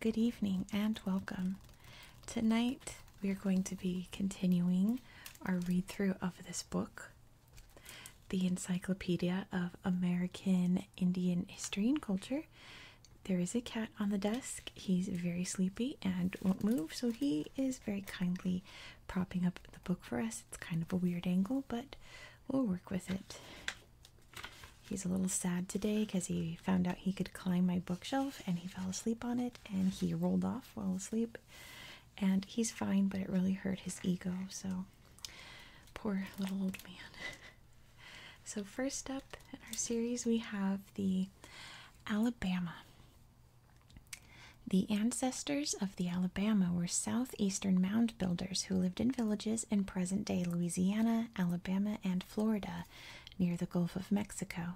Good evening and welcome. Tonight we are going to be continuing our read through of this book, The Encyclopedia of American Indian History and Culture. There is a cat on the desk. He's very sleepy and won't move, so he is very kindly propping up the book for us. It's kind of a weird angle, but we'll work with it. He's a little sad today because he found out he could climb my bookshelf and he fell asleep on it and he rolled off while asleep. And he's fine, but it really hurt his ego. So, poor little old man. so, first up in our series, we have the Alabama. The ancestors of the Alabama were southeastern mound builders who lived in villages in present day Louisiana, Alabama, and Florida near the Gulf of Mexico.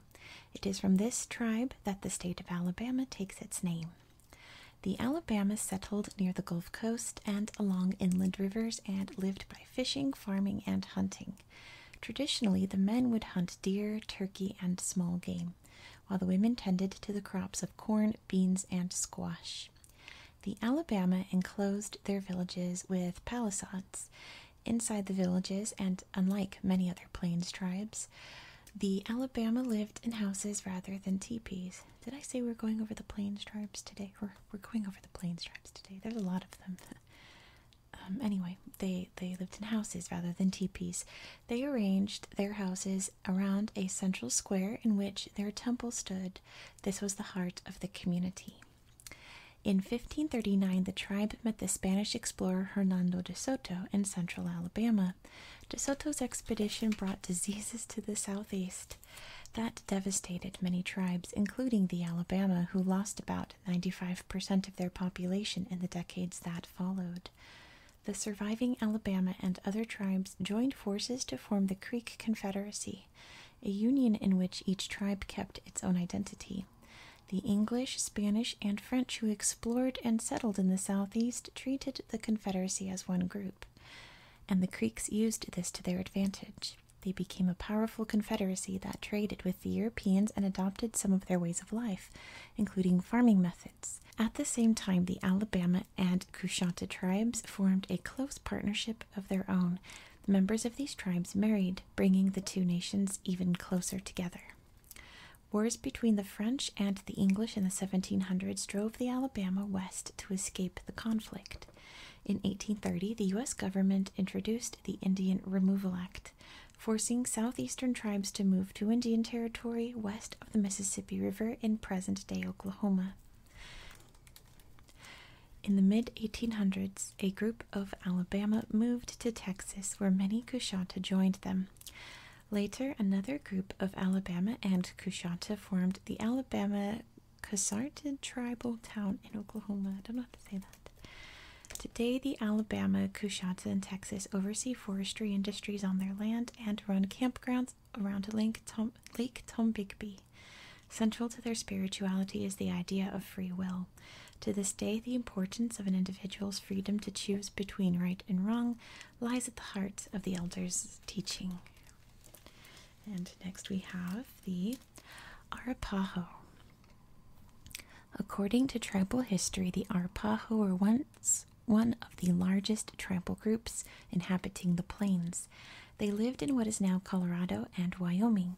It is from this tribe that the state of Alabama takes its name. The Alabama settled near the Gulf Coast and along inland rivers and lived by fishing, farming, and hunting. Traditionally, the men would hunt deer, turkey, and small game while the women tended to the crops of corn, beans, and squash. The Alabama enclosed their villages with palisades. Inside the villages, and unlike many other plains tribes, the Alabama lived in houses rather than teepees. Did I say we're going over the plains tribes today? We're, we're going over the plains tribes today. There's a lot of them. Um, anyway, they, they lived in houses rather than teepees. They arranged their houses around a central square in which their temple stood. This was the heart of the community. In 1539, the tribe met the Spanish explorer Hernando de Soto in central Alabama. De Soto's expedition brought diseases to the southeast that devastated many tribes, including the Alabama, who lost about 95% of their population in the decades that followed the surviving Alabama and other tribes joined forces to form the Creek Confederacy, a union in which each tribe kept its own identity. The English, Spanish, and French who explored and settled in the Southeast treated the Confederacy as one group, and the Creeks used this to their advantage. They became a powerful confederacy that traded with the Europeans and adopted some of their ways of life, including farming methods. At the same time, the Alabama and Coushatta tribes formed a close partnership of their own. The members of these tribes married, bringing the two nations even closer together. Wars between the French and the English in the 1700s drove the Alabama west to escape the conflict. In 1830, the U.S. government introduced the Indian Removal Act, forcing southeastern tribes to move to Indian Territory west of the Mississippi River in present day Oklahoma. In the mid 1800s, a group of Alabama moved to Texas, where many Kushanta joined them. Later, another group of Alabama and Kushanta formed the Alabama Kusartan tribal town in Oklahoma. I don't know how to say that. Today, the Alabama, Kushanta, in Texas oversee forestry industries on their land and run campgrounds around Lake, Tom Lake Tombigbee. Central to their spirituality is the idea of free will. To this day, the importance of an individual's freedom to choose between right and wrong lies at the heart of the elders' teaching. And next we have the Arapaho. According to tribal history, the Arapaho were once one of the largest tribal groups inhabiting the plains. They lived in what is now Colorado and Wyoming.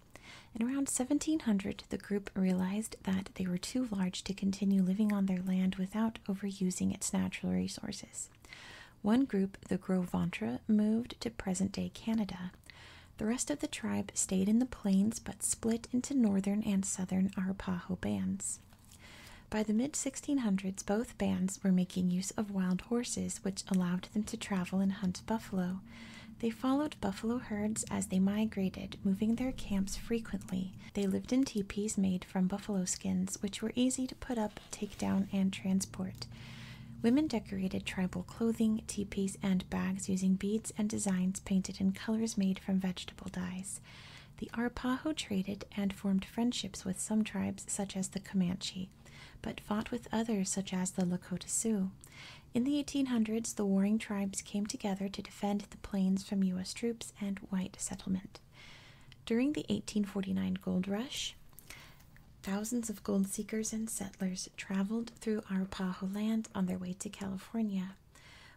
In around 1700, the group realized that they were too large to continue living on their land without overusing its natural resources. One group, the Gros Ventre, moved to present day Canada. The rest of the tribe stayed in the plains but split into northern and southern Arapaho bands. By the mid 1600s, both bands were making use of wild horses, which allowed them to travel and hunt buffalo. They followed buffalo herds as they migrated, moving their camps frequently. They lived in teepees made from buffalo skins, which were easy to put up, take down, and transport. Women decorated tribal clothing, teepees, and bags using beads and designs painted in colors made from vegetable dyes. The Arapaho traded and formed friendships with some tribes, such as the Comanche, but fought with others, such as the Lakota Sioux. In the 1800s, the warring tribes came together to defend the plains from U.S. troops and white settlement. During the 1849 gold rush, thousands of gold seekers and settlers traveled through Arapaho land on their way to California.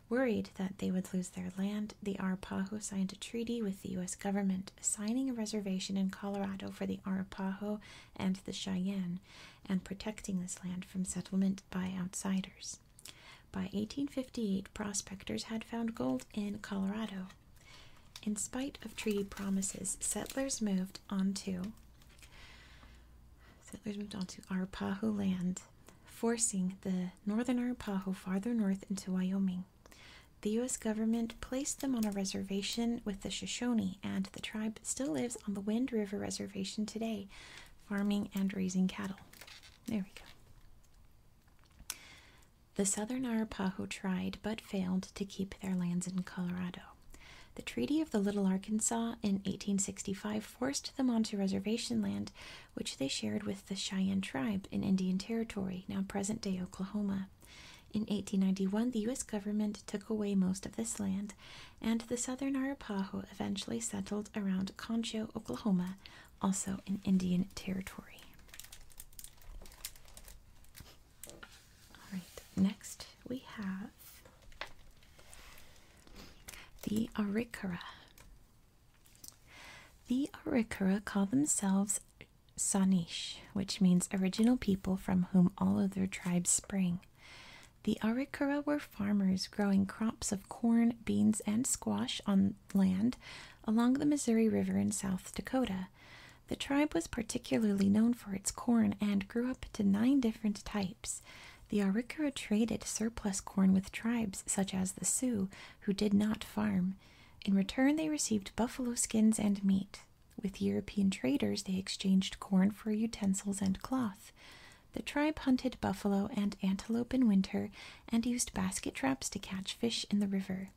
Worried that they would lose their land, the Arapaho signed a treaty with the U.S. government, assigning a reservation in Colorado for the Arapaho and the Cheyenne, and protecting this land from settlement by outsiders. By 1858, prospectors had found gold in Colorado. In spite of treaty promises, settlers moved onto settlers moved onto Arapaho land forcing the northern Arapaho farther north into Wyoming. The U.S. government placed them on a reservation with the Shoshone, and the tribe still lives on the Wind River Reservation today, farming and raising cattle. There we go. The Southern Arapaho tried but failed to keep their lands in Colorado. The Treaty of the Little Arkansas in 1865 forced them onto reservation land, which they shared with the Cheyenne tribe in Indian Territory, now present day Oklahoma. In 1891, the U.S. government took away most of this land, and the southern Arapaho eventually settled around Concho, Oklahoma, also in Indian Territory. All right, next we have the Arikara. The Arikara call themselves Sanish, which means original people from whom all other tribes spring. The Arikara were farmers growing crops of corn, beans, and squash on land along the Missouri River in South Dakota. The tribe was particularly known for its corn and grew up to nine different types. The Arikara traded surplus corn with tribes such as the Sioux, who did not farm. In return, they received buffalo skins and meat. With European traders, they exchanged corn for utensils and cloth. The tribe hunted buffalo and antelope in winter and used basket traps to catch fish in the river.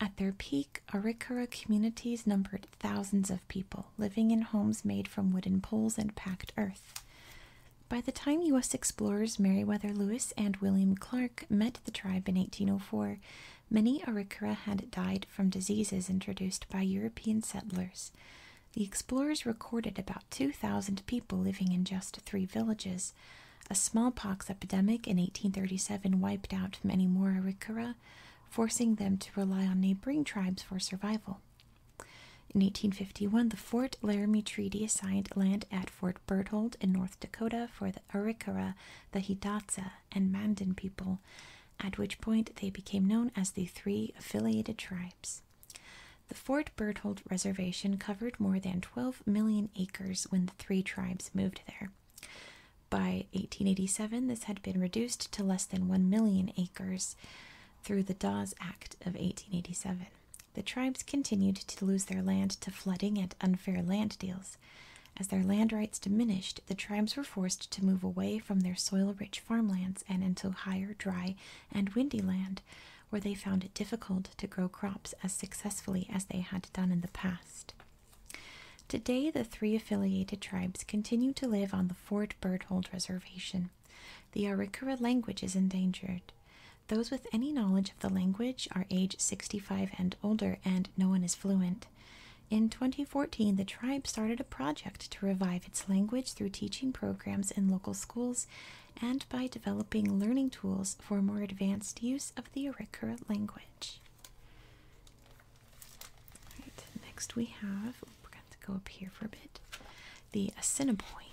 At their peak, Arikara communities numbered thousands of people, living in homes made from wooden poles and packed earth. By the time U.S. explorers Meriwether Lewis and William Clark met the tribe in 1804, many Arikara had died from diseases introduced by European settlers. The explorers recorded about 2,000 people living in just three villages. A smallpox epidemic in 1837 wiped out many more Arikara, forcing them to rely on neighboring tribes for survival. In 1851, the Fort Laramie Treaty assigned land at Fort Berthold in North Dakota for the Arikara, the Hidatsa, and Mandan people, at which point they became known as the Three Affiliated Tribes. The Fort Berthold Reservation covered more than 12 million acres when the three tribes moved there. By 1887, this had been reduced to less than 1 million acres through the Dawes Act of 1887. The tribes continued to lose their land to flooding and unfair land deals. As their land rights diminished, the tribes were forced to move away from their soil rich farmlands and into higher, dry, and windy land, where they found it difficult to grow crops as successfully as they had done in the past. Today, the three affiliated tribes continue to live on the Fort Berthold Reservation. The Arikara language is endangered. Those with any knowledge of the language are age 65 and older, and no one is fluent. In 2014, the tribe started a project to revive its language through teaching programs in local schools and by developing learning tools for more advanced use of the Arikara language. next, we have we're going to go up here for a bit the Assiniboine.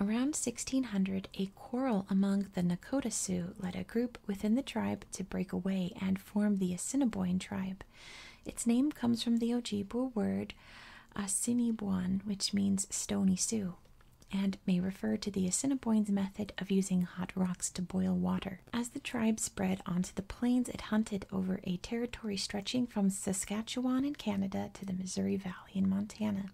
Around 1600, a quarrel among the Nakota Sioux led a group within the tribe to break away and form the Assiniboine tribe. Its name comes from the Ojibwe word Assiniboine, which means stony Sioux, and may refer to the Assiniboines' method of using hot rocks to boil water. As the tribe spread onto the plains, it hunted over a territory stretching from Saskatchewan in Canada to the Missouri Valley in Montana.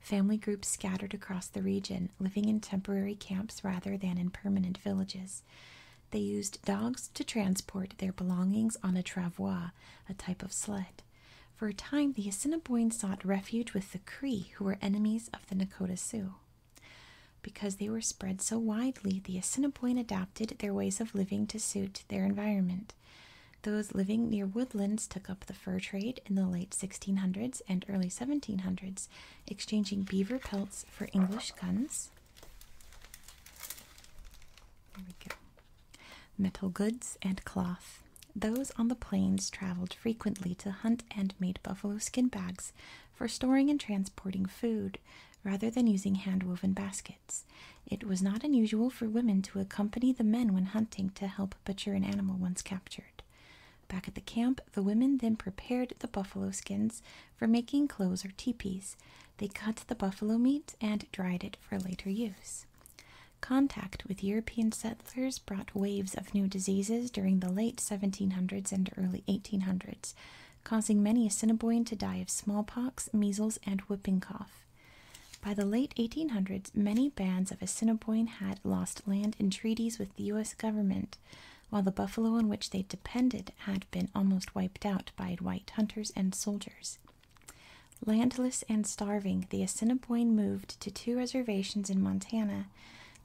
Family groups scattered across the region, living in temporary camps rather than in permanent villages. They used dogs to transport their belongings on a travois, a type of sled. For a time, the Assiniboines sought refuge with the Cree, who were enemies of the Nakota Sioux. Because they were spread so widely, the Assiniboine adapted their ways of living to suit their environment. Those living near woodlands took up the fur trade in the late 1600s and early 1700s, exchanging beaver pelts for English guns. Metal goods and cloth. Those on the plains traveled frequently to hunt and made buffalo skin bags for storing and transporting food rather than using handwoven baskets. It was not unusual for women to accompany the men when hunting to help butcher an animal once captured. Back at the camp, the women then prepared the buffalo skins for making clothes or tepees. They cut the buffalo meat and dried it for later use. Contact with European settlers brought waves of new diseases during the late 1700s and early 1800s, causing many Assiniboine to die of smallpox, measles, and whooping cough. By the late 1800s, many bands of Assiniboine had lost land in treaties with the U.S. government, while the buffalo on which they depended had been almost wiped out by white hunters and soldiers. Landless and starving, the Assiniboine moved to two reservations in Montana.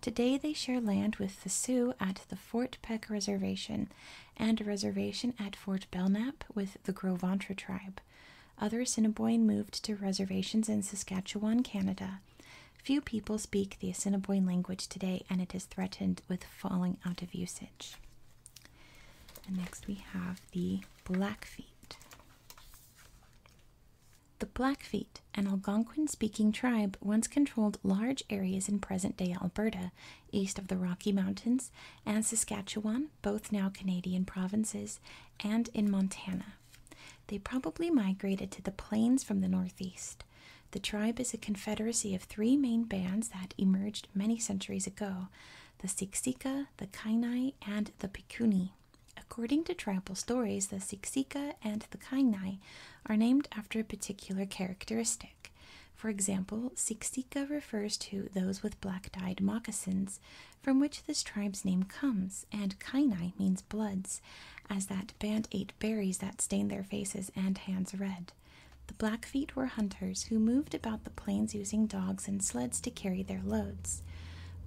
Today they share land with the Sioux at the Fort Peck Reservation and a reservation at Fort Belknap with the Gros Ventre tribe. Other Assiniboine moved to reservations in Saskatchewan, Canada. Few people speak the Assiniboine language today, and it is threatened with falling out of usage. next we have the Blackfeet. The Blackfeet, an Algonquin speaking tribe, once controlled large areas in present day Alberta, east of the Rocky Mountains, and Saskatchewan, both now Canadian provinces, and in Montana. They probably migrated to the plains from the northeast. The tribe is a confederacy of three main bands that emerged many centuries ago the Siksika, the Kainai, and the Pikuni. According to tribal stories, the Siksika and the Kainai are named after a particular characteristic. For example, Siksika refers to those with black dyed moccasins, from which this tribe's name comes, and Kainai means bloods, as that band ate berries that stained their faces and hands red. The Blackfeet were hunters who moved about the plains using dogs and sleds to carry their loads.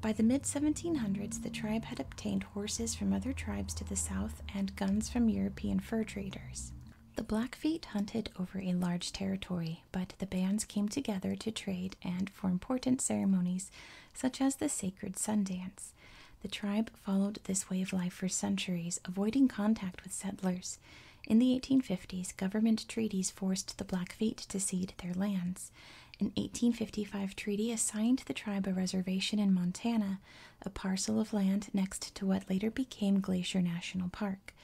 By the mid 1700s, the tribe had obtained horses from other tribes to the south and guns from European fur traders. The Blackfeet hunted over a large territory but the bands came together to trade and for important ceremonies such as the sacred sun dance. The tribe followed this way of life for centuries, avoiding contact with settlers. In the 1850s, government treaties forced the Blackfeet to cede their lands. An 1855 treaty assigned the tribe a reservation in Montana, a parcel of land next to what later became Glacier National Park.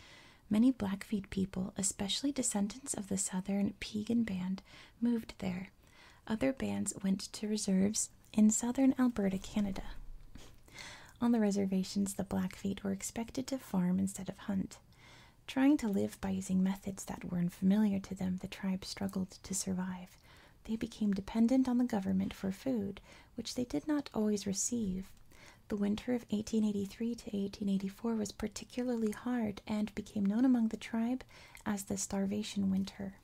Many Blackfeet people, especially descendants of the Southern Piegan Band, moved there. Other bands went to reserves in southern Alberta, Canada. On the reservations, the Blackfeet were expected to farm instead of hunt. Trying to live by using methods that were unfamiliar to them, the tribe struggled to survive. They became dependent on the government for food, which they did not always receive. The winter of 1883 to 1984 was particularly hard and became known among the tribe as the Starvation Winter.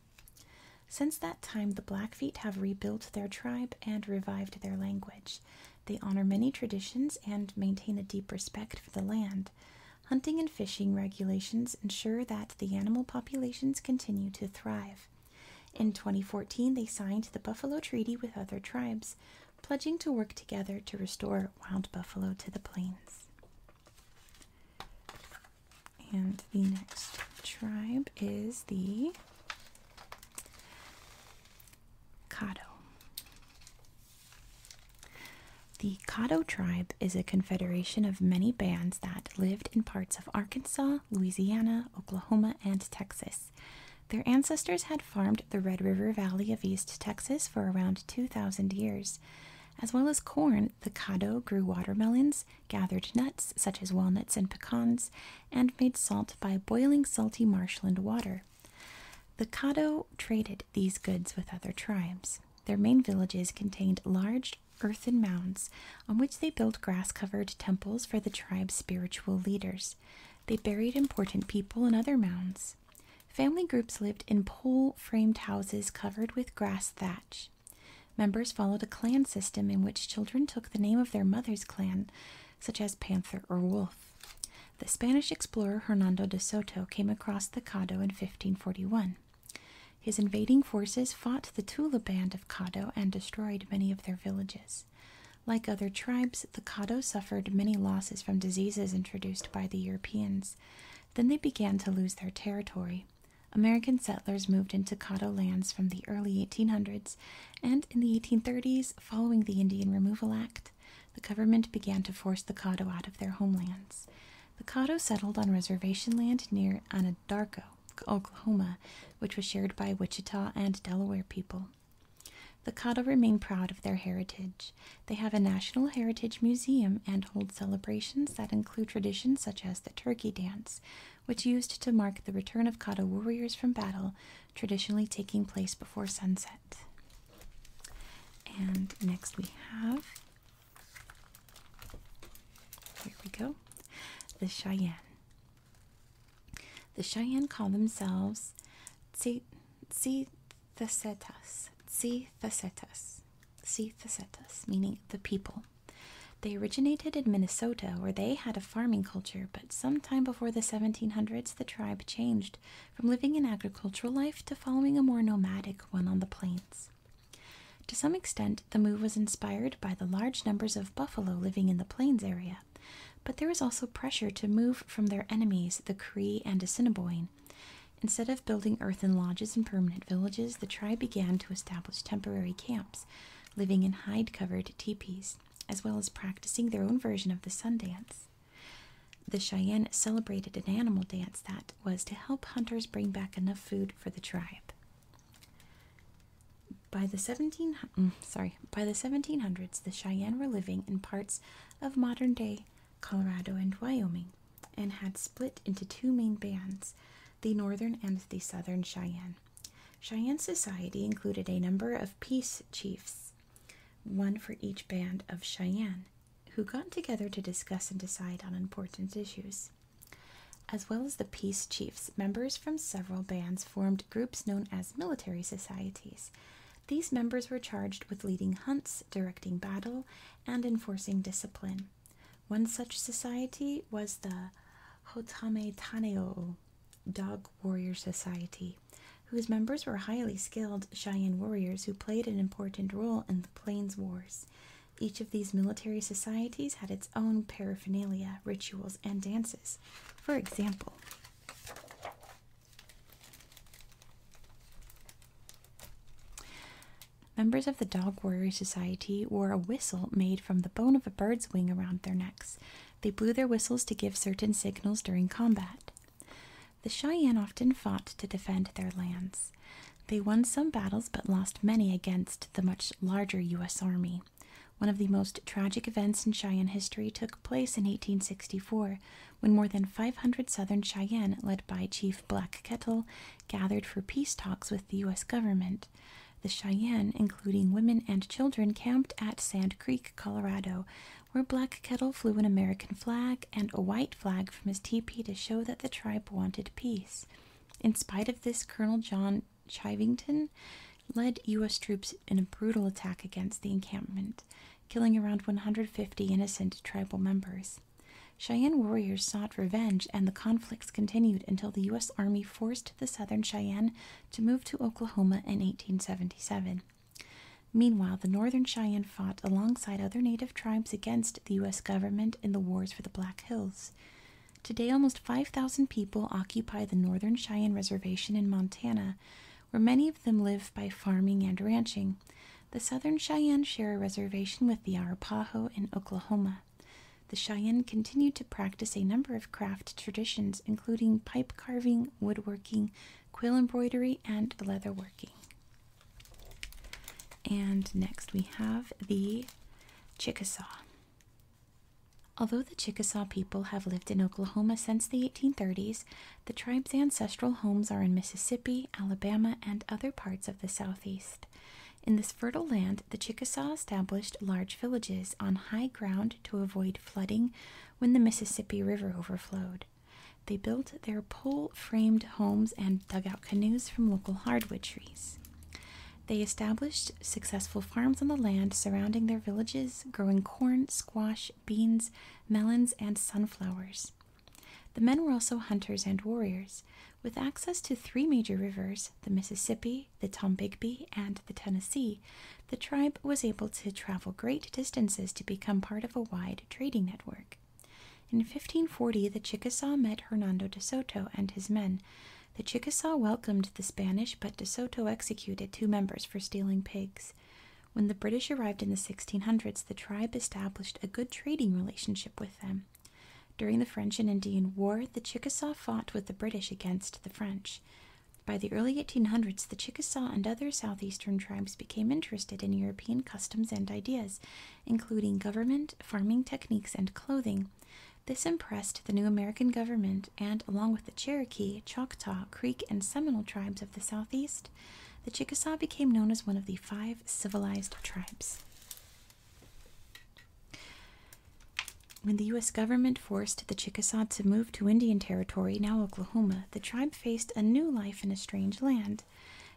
Since that time, the Blackfeet have rebuilt their tribe and revived their language. They honor many traditions and maintain a deep respect for the land. Hunting and fishing regulations ensure that the animal populations continue to thrive. In 2014, they signed the Buffalo Treaty with other tribes, pledging to work together to restore wild buffalo to the plains. And the next tribe is the Caddo. The Caddo tribe is a confederation of many bands that lived in parts of Arkansas, Louisiana, Oklahoma, and Texas. Their ancestors had farmed the Red River Valley of East Texas for around 2,000 years. As well as corn, the Caddo grew watermelons, gathered nuts such as walnuts and pecans, and made salt by boiling salty marshland water. The Caddo traded these goods with other tribes. Their main villages contained large earthen mounds on which they built grass covered temples for the tribe's spiritual leaders. They buried important people in other mounds. Family groups lived in pole framed houses covered with grass thatch. Members followed a clan system in which children took the name of their mother's clan, such as Panther or Wolf. The Spanish explorer Hernando de Soto came across the Caddo in 1541. His invading forces fought the Tula band of Caddo and destroyed many of their villages. Like other tribes, the Caddo suffered many losses from diseases introduced by the Europeans. Then they began to lose their territory. American settlers moved into Caddo lands from the early 1800s, and in the 1830s, following the Indian Removal Act, the government began to force the Caddo out of their homelands. The Caddo settled on reservation land near Anadarko, Oklahoma, which was shared by Wichita and Delaware people. The Caddo remain proud of their heritage. They have a National Heritage Museum and hold celebrations that include traditions such as the Turkey Dance, which used to mark the return of Caddo warriors from battle, traditionally taking place before sunset. And next we have here we go the Cheyenne. The Cheyenne call themselves Tse Thesetas, see Thesetas, see Thesetas, meaning the people. They originated in Minnesota, where they had a farming culture, but sometime before the 1700s, the tribe changed from living an agricultural life to following a more nomadic one on the plains. To some extent, the move was inspired by the large numbers of buffalo living in the plains area, but there was also pressure to move from their enemies, the Cree and Assiniboine, Instead of building earthen lodges and permanent villages, the tribe began to establish temporary camps, living in hide covered tepees, as well as practicing their own version of the sun dance. The Cheyenne celebrated an animal dance that was to help hunters bring back enough food for the tribe. By the 17 mm, sorry, by the 1700s, the Cheyenne were living in parts of modern-day Colorado and Wyoming and had split into two main bands the northern and the southern Cheyenne. Cheyenne society included a number of peace chiefs, one for each band of Cheyenne, who got together to discuss and decide on important issues. As well as the peace chiefs, members from several bands formed groups known as military societies. These members were charged with leading hunts, directing battle, and enforcing discipline. One such society was the Hotame Taneo Dog Warrior Society, whose members were highly skilled Cheyenne warriors who played an important role in the Plains Wars. Each of these military societies had its own paraphernalia, rituals, and dances. For example, Members of the Dog Warrior Society wore a whistle made from the bone of a bird's wing around their necks. They blew their whistles to give certain signals during combat. The Cheyenne often fought to defend their lands. They won some battles but lost many against the much larger U.S. Army. One of the most tragic events in Cheyenne history took place in 1864 when more than 500 Southern Cheyenne, led by Chief Black Kettle, gathered for peace talks with the U.S. government. The Cheyenne, including women and children, camped at Sand Creek, Colorado, where Black Kettle flew an American flag and a white flag from his teepee to show that the tribe wanted peace. In spite of this, Colonel John Chivington led U.S. troops in a brutal attack against the encampment, killing around 150 innocent tribal members. Cheyenne warriors sought revenge, and the conflicts continued until the U.S. Army forced the Southern Cheyenne to move to Oklahoma in 1877. Meanwhile, the Northern Cheyenne fought alongside other Native tribes against the U.S. government in the wars for the Black Hills. Today, almost 5,000 people occupy the Northern Cheyenne Reservation in Montana, where many of them live by farming and ranching. The Southern Cheyenne share a reservation with the Arapaho in Oklahoma. The Cheyenne continue to practice a number of craft traditions, including pipe carving, woodworking, quill embroidery, and leatherworking. And next we have the Chickasaw. Although the Chickasaw people have lived in Oklahoma since the 1830s, the tribe's ancestral homes are in Mississippi, Alabama, and other parts of the southeast. In this fertile land, the Chickasaw established large villages on high ground to avoid flooding when the Mississippi River overflowed. They built their pole framed homes and dugout canoes from local hardwood trees. They established successful farms on the land surrounding their villages, growing corn, squash, beans, melons, and sunflowers. The men were also hunters and warriors, with access to three major rivers the Mississippi, the Tombigbee, and the Tennessee. The tribe was able to travel great distances to become part of a wide trading network. In 1540, the Chickasaw met Hernando de Soto and his men. The Chickasaw welcomed the Spanish, but de Soto executed two members for stealing pigs. When the British arrived in the 1600s, the tribe established a good trading relationship with them. During the French and Indian War, the Chickasaw fought with the British against the French. By the early 1800s, the Chickasaw and other southeastern tribes became interested in European customs and ideas, including government, farming techniques, and clothing. This impressed the new American government, and along with the Cherokee, Choctaw, Creek, and Seminole tribes of the Southeast, the Chickasaw became known as one of the five civilized tribes. When the U.S. government forced the Chickasaws to move to Indian Territory, now Oklahoma, the tribe faced a new life in a strange land.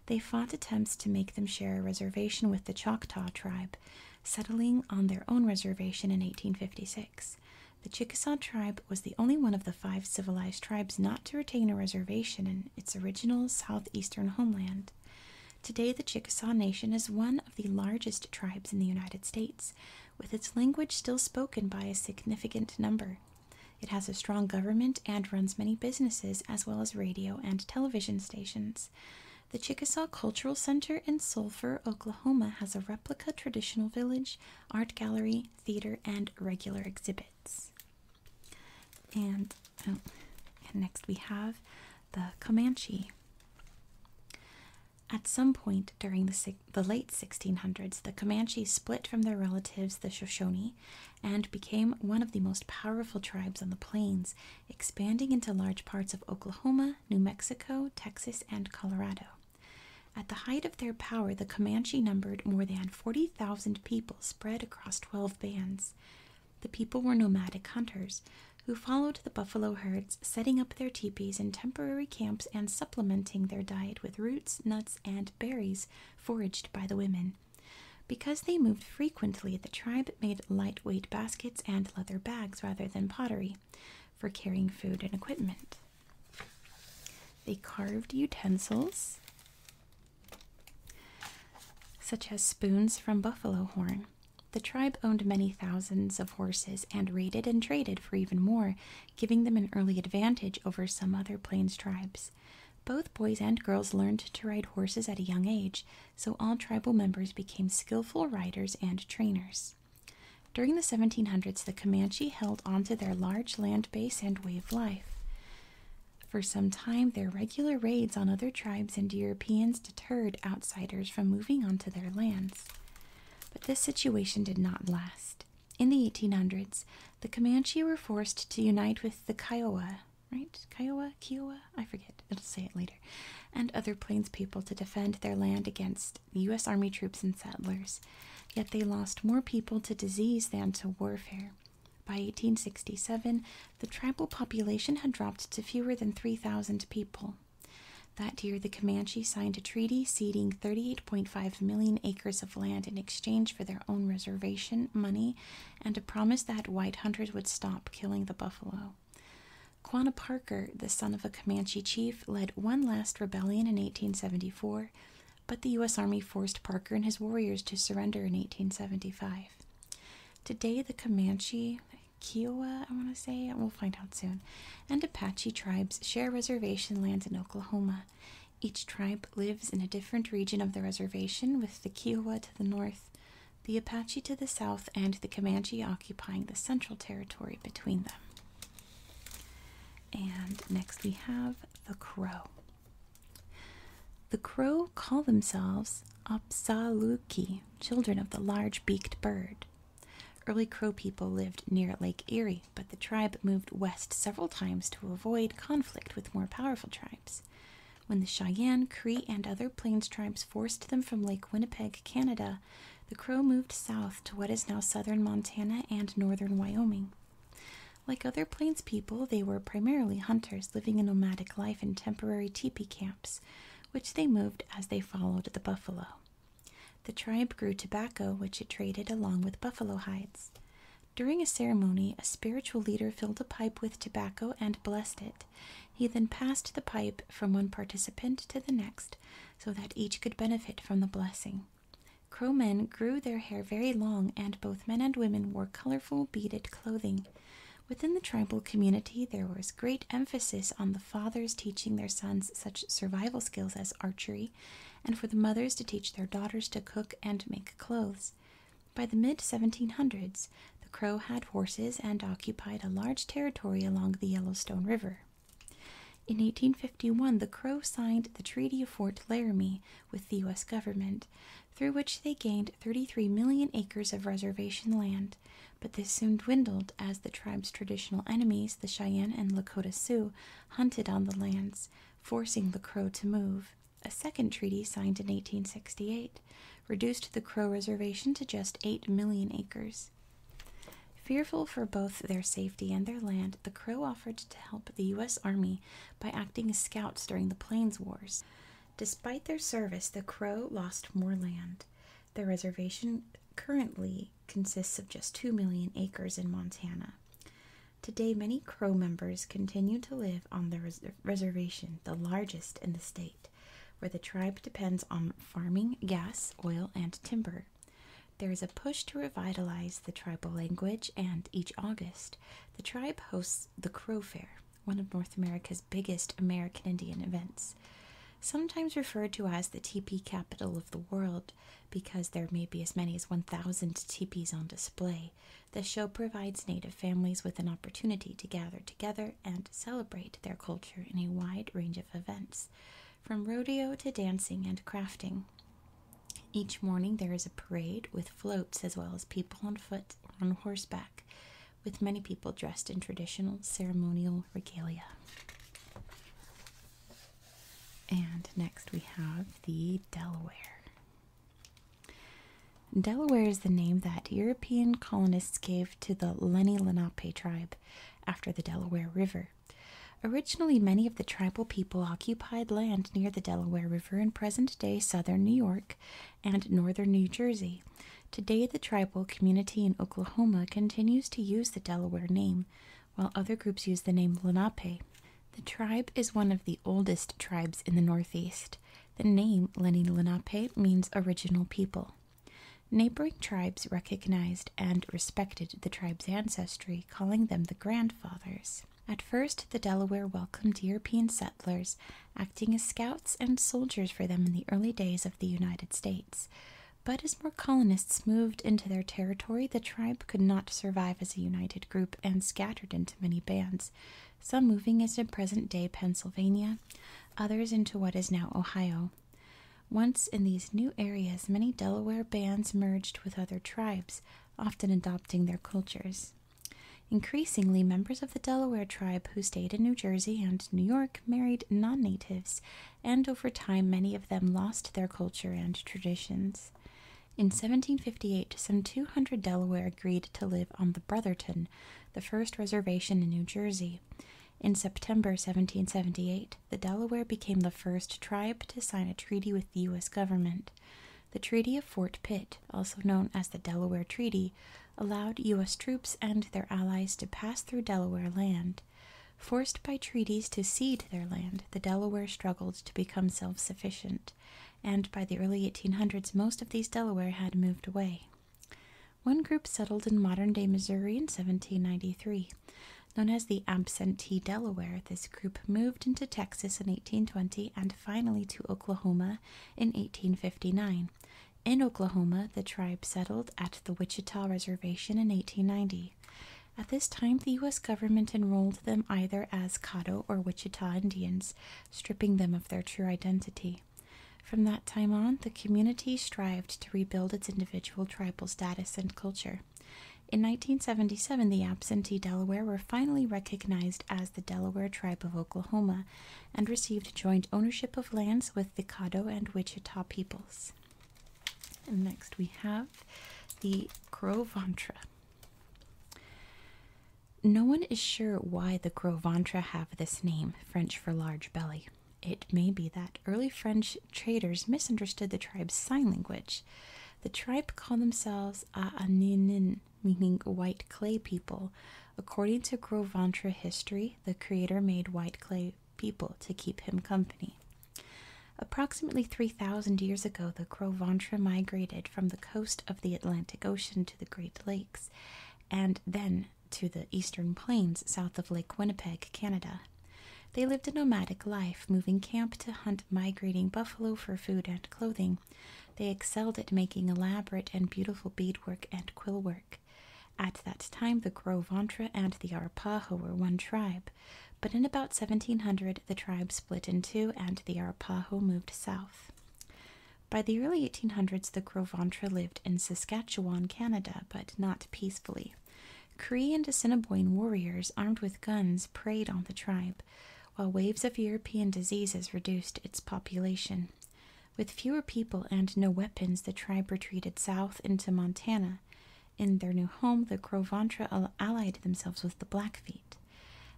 They fought attempts to make them share a reservation with the Choctaw tribe, settling on their own reservation in 1856. The Chickasaw tribe was the only one of the five civilized tribes not to retain a reservation in its original southeastern homeland. Today, the Chickasaw Nation is one of the largest tribes in the United States, with its language still spoken by a significant number. It has a strong government and runs many businesses as well as radio and television stations. The Chickasaw Cultural Center in Sulphur, Oklahoma has a replica traditional village, art gallery, theater, and regular exhibit. Oh, and next we have the Comanche. At some point during the, the late 1600s, the Comanches split from their relatives, the Shoshone, and became one of the most powerful tribes on the plains, expanding into large parts of Oklahoma, New Mexico, Texas, and Colorado. At the height of their power, the Comanche numbered more than 40,000 people spread across 12 bands. The people were nomadic hunters who followed the buffalo herds, setting up their teepees in temporary camps and supplementing their diet with roots, nuts, and berries foraged by the women. Because they moved frequently, the tribe made lightweight baskets and leather bags rather than pottery for carrying food and equipment. They carved utensils such as spoons from buffalo horn. The tribe owned many thousands of horses and raided and traded for even more, giving them an early advantage over some other plains tribes. Both boys and girls learned to ride horses at a young age, so all tribal members became skillful riders and trainers. During the 1700s, the Comanche held onto their large land base and way of life. For some time, their regular raids on other tribes and Europeans deterred outsiders from moving onto their lands. But this situation did not last. In the 1800s, the Comanche were forced to unite with the Kiowa, right? Kiowa? Kiowa? I forget. i will say it later. And other plains people to defend their land against U.S. Army troops and settlers. Yet they lost more people to disease than to warfare. By 1867, the tribal population had dropped to fewer than 3,000 people. That year, the Comanche signed a treaty ceding 38.5 million acres of land in exchange for their own reservation money and a promise that white hunters would stop killing the buffalo. Quanah Parker, the son of a Comanche chief, led one last rebellion in 1874, but the U.S. Army forced Parker and his warriors to surrender in 1875. Today, the Comanche, Kiowa, I want to say, and we'll find out soon, and Apache tribes share reservation lands in Oklahoma. Each tribe lives in a different region of the reservation, with the Kiowa to the north, the Apache to the south, and the Comanche occupying the central territory between them. And next we have the Crow. The crow call themselves Opsaluki, children of the large beaked bird. Early crow people lived near Lake Erie, but the tribe moved west several times to avoid conflict with more powerful tribes. When the Cheyenne, Cree, and other Plains tribes forced them from Lake Winnipeg, Canada, the Crow moved south to what is now southern Montana and northern Wyoming. Like other Plains people, they were primarily hunters living a nomadic life in temporary teepees camps, which they moved as they followed the buffalo. The tribe grew tobacco, which it traded along with buffalo hides. During a ceremony, a spiritual leader filled a pipe with tobacco and blessed it. He then passed the pipe from one participant to the next so that each could benefit from the blessing. Crow men grew their hair very long, and both men and women wore colorful beaded clothing. Within the tribal community, there was great emphasis on the fathers teaching their sons such survival skills as archery, and for the mothers to teach their daughters to cook and make clothes. By the mid 1700s, the Crow had horses and occupied a large territory along the Yellowstone River. In 1851, the Crow signed the Treaty of Fort Laramie with the U.S. government, through which they gained 33 million acres of reservation land, but this soon dwindled as the tribe's traditional enemies, the Cheyenne and Lakota Sioux, hunted on the lands, forcing the Crow to move. A second treaty signed in 1868 reduced the Crow reservation to just 8 million acres. Fearful for both their safety and their land, the Crow offered to help the U.S. Army by acting as scouts during the Plains Wars. Despite their service, the Crow lost more land. The reservation currently consists of just 2 million acres in Montana. Today, many Crow members continue to live on the reservation, the largest in the state, where the tribe depends on farming, gas, oil, and timber. There is a push to revitalize the tribal language, and each August, the tribe hosts the Crow Fair, one of North America's biggest American Indian events, sometimes referred to as the T P capital of the world because there may be as many as 1,000 teepees on display. The show provides Native families with an opportunity to gather together and celebrate their culture in a wide range of events, from rodeo to dancing and crafting. Each morning there is a parade with floats as well as people on foot or on horseback with many people dressed in traditional ceremonial regalia. And next we have the Delaware. Delaware is the name that European colonists gave to the Lenni Lenape tribe after the Delaware River. Originally, many of the tribal people occupied land near the Delaware River in present day southern New York and northern New Jersey. Today, the tribal community in Oklahoma continues to use the Delaware name, while other groups use the name Lenape. The tribe is one of the oldest tribes in the Northeast. The name Leni Lenape means original people. Neighboring tribes recognized and respected the tribe's ancestry, calling them the grandfathers. At first, the Delaware welcomed European settlers acting as scouts and soldiers for them in the early days of the United States. But as more colonists moved into their territory, the tribe could not survive as a united group and scattered into many bands, some moving into present day Pennsylvania, others into what is now Ohio. Once in these new areas, many Delaware bands merged with other tribes, often adopting their cultures. Increasingly, members of the Delaware tribe who stayed in New Jersey and New York married non natives, and over time, many of them lost their culture and traditions. In 1758, some 200 Delaware agreed to live on the Brotherton, the first reservation in New Jersey. In September 1778, the Delaware became the first tribe to sign a treaty with the U.S. government. The Treaty of Fort Pitt, also known as the Delaware Treaty, allowed U.S. troops and their allies to pass through Delaware land. Forced by treaties to cede their land, the Delaware struggled to become self sufficient, and by the early 1800s, most of these Delaware had moved away. One group settled in modern day Missouri in 1793. Known as the Absentee Delaware, this group moved into Texas in 1820 and finally to Oklahoma in 1859. In Oklahoma, the tribe settled at the Wichita Reservation in 1890. At this time, the U.S. government enrolled them either as Caddo or Wichita Indians, stripping them of their true identity. From that time on, the community strived to rebuild its individual tribal status and culture. In 1977, the absentee Delaware were finally recognized as the Delaware Tribe of Oklahoma, and received joint ownership of lands with the Caddo and Wichita peoples. And next we have the Gros Ventre. No one is sure why the Gros Ventre have this name, French for large belly. It may be that early French traders misunderstood the tribe's sign language. The tribe called themselves Aaninin, meaning white clay people. According to Gros Ventre history, the creator made white clay people to keep him company. Approximately 3,000 years ago, the Gros Ventre migrated from the coast of the Atlantic Ocean to the Great Lakes and then to the eastern plains south of Lake Winnipeg, Canada. They lived a nomadic life, moving camp to hunt migrating buffalo for food and clothing. They excelled at making elaborate and beautiful beadwork and quill work. At that time, the Gros-Ventre and the Arapaho were one tribe, but in about 1700 the tribe split in two and the Arapaho moved south. By the early 1800s, the Gros-Ventre lived in Saskatchewan, Canada, but not peacefully. Cree and Assiniboine warriors armed with guns preyed on the tribe, while waves of European diseases reduced its population. With fewer people and no weapons, the tribe retreated south into Montana. In their new home, the Gros Ventre allied themselves with the Blackfeet.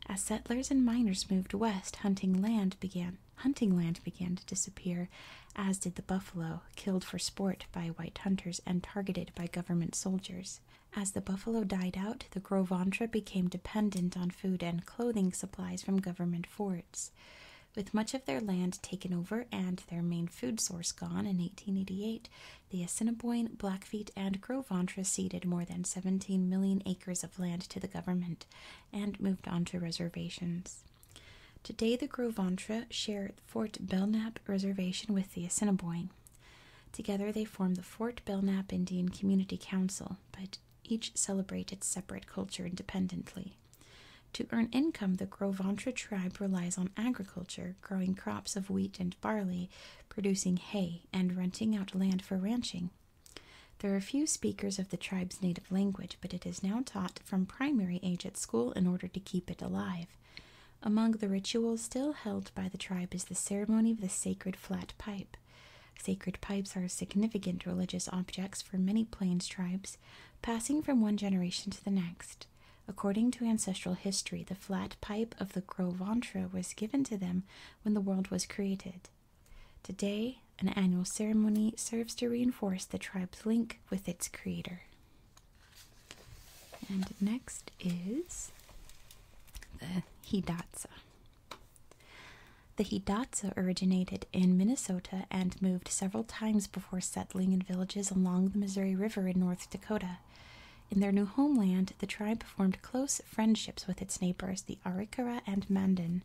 As settlers and miners moved west, hunting land began hunting land began to disappear, as did the buffalo, killed for sport by white hunters and targeted by government soldiers. As the buffalo died out, the Gros Ventre became dependent on food and clothing supplies from government forts. With much of their land taken over and their main food source gone in 1888, the Assiniboine, Blackfeet, and Gros Ventre ceded more than 17 million acres of land to the government and moved onto reservations. Today, the Gros Ventre share Fort Belknap Reservation with the Assiniboine. Together, they form the Fort Belknap Indian Community Council, but each celebrate its separate culture independently. To earn income, the Gros Ventre tribe relies on agriculture, growing crops of wheat and barley, producing hay, and renting out land for ranching. There are few speakers of the tribe's native language, but it is now taught from primary age at school in order to keep it alive. Among the rituals still held by the tribe is the ceremony of the sacred flat pipe. Sacred pipes are significant religious objects for many Plains tribes, passing from one generation to the next. According to ancestral history, the flat pipe of the Gros Ventre was given to them when the world was created. Today, an annual ceremony serves to reinforce the tribe's link with its creator. And next is the Hidatsa. The Hidatsa originated in Minnesota and moved several times before settling in villages along the Missouri River in North Dakota. In their new homeland, the tribe formed close friendships with its neighbors, the Arikara and Mandan,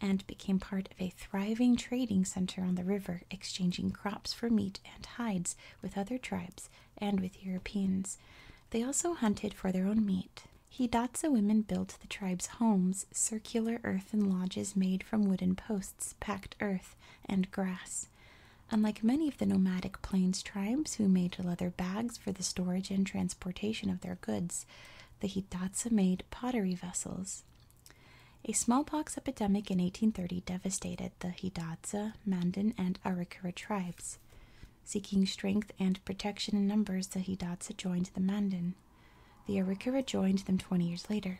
and became part of a thriving trading center on the river, exchanging crops for meat and hides with other tribes and with Europeans. They also hunted for their own meat. Hidatsa women built the tribe's homes houses, circular earthen lodges made from wooden posts, packed earth, and grass. Unlike many of the nomadic plains tribes who made leather bags for the storage and transportation of their goods, the Hidatsa made pottery vessels. A smallpox epidemic in 1830 devastated the Hidatsa, Mandan, and Arikara tribes. Seeking strength and protection in numbers, the Hidatsa joined the Mandan. The Arika joined them 20 years later.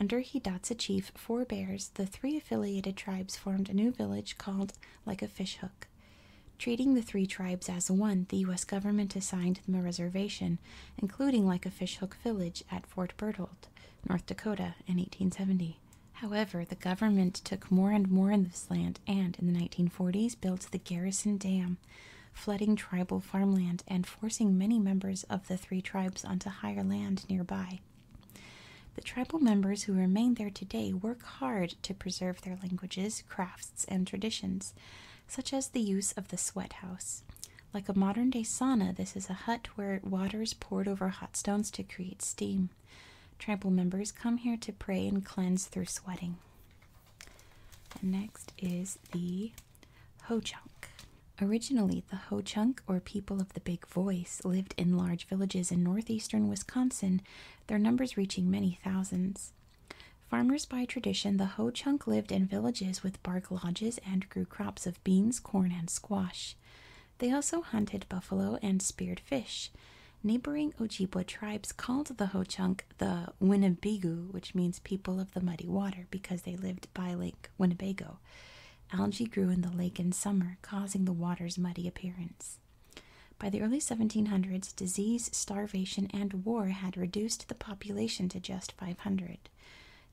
Under Hidatsa chief Four Bears, the three affiliated tribes formed a new village called Like a Fishhook. Treating the three tribes as one, the U.S. government assigned them a reservation, including Like a Fishhook Village at Fort Berthold, North Dakota, in 1870. However, the government took more and more of this land and, in the 1940s, built the Garrison Dam flooding tribal farmland and forcing many members of the three tribes onto higher land nearby. The tribal members who remain there today work hard to preserve their languages, crafts, and traditions, such as the use of the sweat house. Like a modern day sauna, this is a hut where water is poured over hot stones to create steam. Tribal members come here to pray and cleanse through sweating. next is the Ho Chunk. Originally, the Ho Chunk, or people of the big voice, lived in large villages in northeastern Wisconsin, their numbers reaching many thousands. Farmers by tradition, the Ho Chunk lived in villages with bark lodges and grew crops of beans, corn, and squash. They also hunted buffalo and speared fish. Neighboring Ojibwa tribes called the Ho Chunk the Winnebigu, which means people of the muddy water, because they lived by Lake Winnebago. Algae grew in the lake in summer, causing the water's muddy appearance. By the early 1700s, disease, starvation, and war had reduced the population to just 500.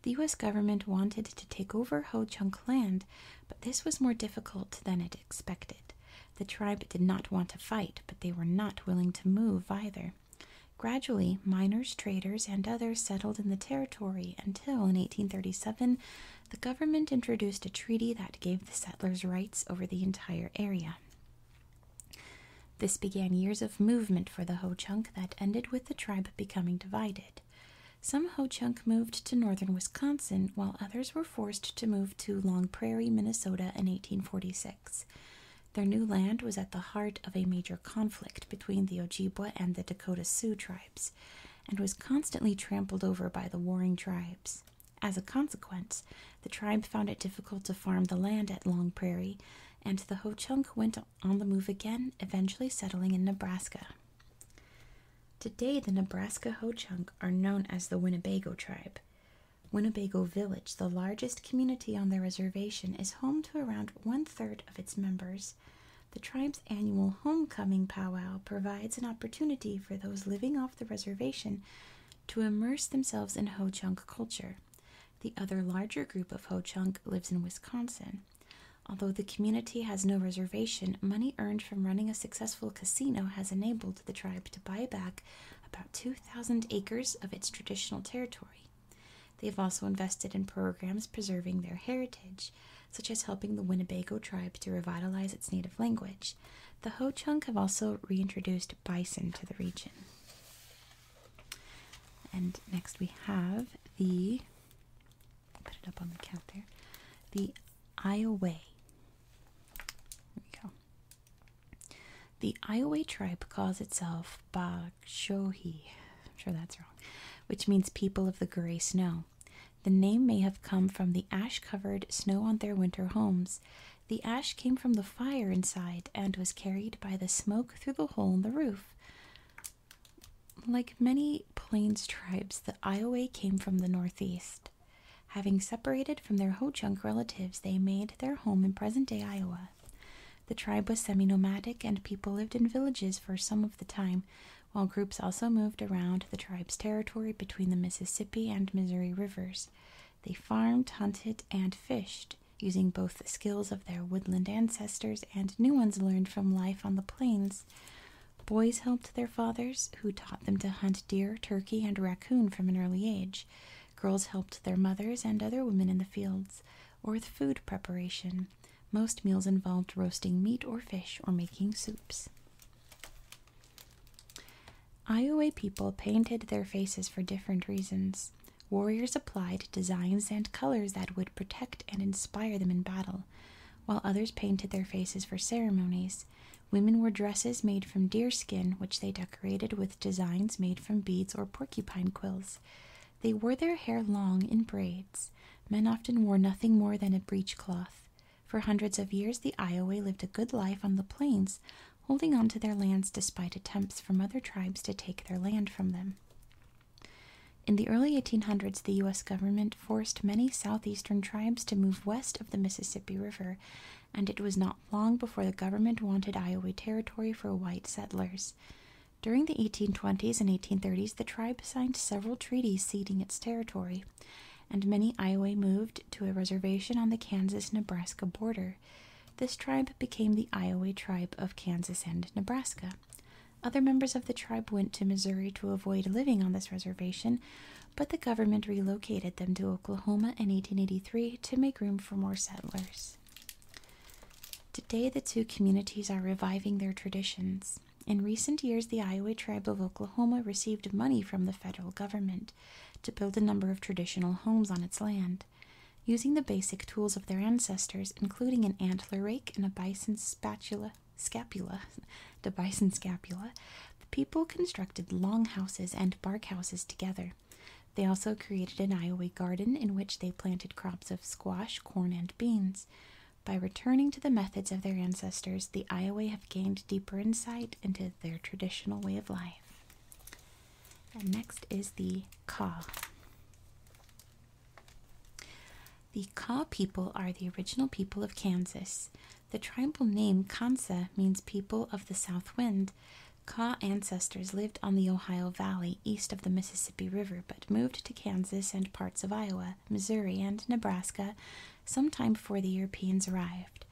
The U.S. government wanted to take over Ho Chunk land, but this was more difficult than it expected. The tribe did not want to fight, but they were not willing to move either. Gradually, miners, traders, and others settled in the territory until, in 1837, the government introduced a treaty that gave the settlers rights over the entire area. This began years of movement for the Ho Chunk that ended with the tribe becoming divided. Some Ho Chunk moved to northern Wisconsin, while others were forced to move to Long Prairie, Minnesota in 1846. Their new land was at the heart of a major conflict between the Ojibwa and the Dakota Sioux tribes and was constantly trampled over by the warring tribes. As a consequence, the tribe found it difficult to farm the land at Long Prairie, and the Ho Chunk went on the move again, eventually settling in Nebraska. Today, the Nebraska Ho Chunk are known as the Winnebago tribe. Winnebago Village, the largest community on their reservation, is home to around one third of its members, the tribe's annual homecoming powwow provides an opportunity for those living off the reservation to immerse themselves in Ho Chunk culture. The other larger group of Ho Chunk lives in Wisconsin. Although the community has no reservation, money earned from running a successful casino has enabled the tribe to buy back about 2,000 acres of its traditional territory. They've also invested in programs preserving their heritage, such as helping the Winnebago tribe to revitalize its native language. The Ho Chunk have also reintroduced bison to the region. And next we have the put it up on the count there. The Iowa. There we go. The Iowa tribe calls itself of I'm sure that's wrong, which means people of the gray snow. The name may have come from the ash covered snow on their winter homes. The ash came from the fire inside and was carried by the smoke through the hole in the roof. Like many Plains tribes, the Iowa came from the northeast. Having separated from their Ho Chunk relatives, they made their home in present day Iowa. The tribe was semi nomadic, and people lived in villages for some of the time, while groups also moved around the tribe's territory between the Mississippi and Missouri rivers. They farmed, hunted, and fished, using both the skills of their woodland ancestors and new ones learned from life on the plains. Boys helped their fathers, who taught them to hunt deer, turkey, and raccoon from an early age. Girls helped their mothers and other women in the fields or with food preparation. Most meals involved roasting meat or fish or making soups. Iowa people painted their faces for different reasons. Warriors applied designs and colors that would protect and inspire them in battle, while others painted their faces for ceremonies. Women wore dresses made from deer skin, which they decorated with designs made from beads or porcupine quills. They wore their hair long in braids. Men often wore nothing more than a breechcloth. For hundreds of years, the Iowa lived a good life on the plains, holding on to their lands despite attempts from other tribes to take their land from them. In the early 1800s, the U.S. government forced many southeastern tribes to move west of the Mississippi River, and it was not long before the government wanted Iowa territory for white settlers. During the 1820s and 1830s, the tribe signed several treaties ceding its territory, and many Iowa moved to a reservation on the Kansas Nebraska border. This tribe became the Iowa tribe of Kansas and Nebraska. Other members of the tribe went to Missouri to avoid living on this reservation, but the government relocated them to Oklahoma in 1883 to make room for more settlers. Today, the two communities are reviving their traditions. In recent years, the Iowa tribe of Oklahoma received money from the federal government to build a number of traditional homes on its land. Using the basic tools of their ancestors, including an antler rake and a bison spatula, the bison scapula, the people constructed long houses and bark houses together. They also created an Iowa garden in which they planted crops of squash, corn, and beans. By returning to the methods of their ancestors, the Iowa have gained deeper insight into their traditional way of life. next is the Kaw. The Kaw people are the original people of Kansas. The tribal name Kansa means people of the south wind. Kaw ancestors lived on the Ohio Valley east of the Mississippi River but moved to Kansas and parts of Iowa, Missouri, and Nebraska sometime before the Europeans arrived.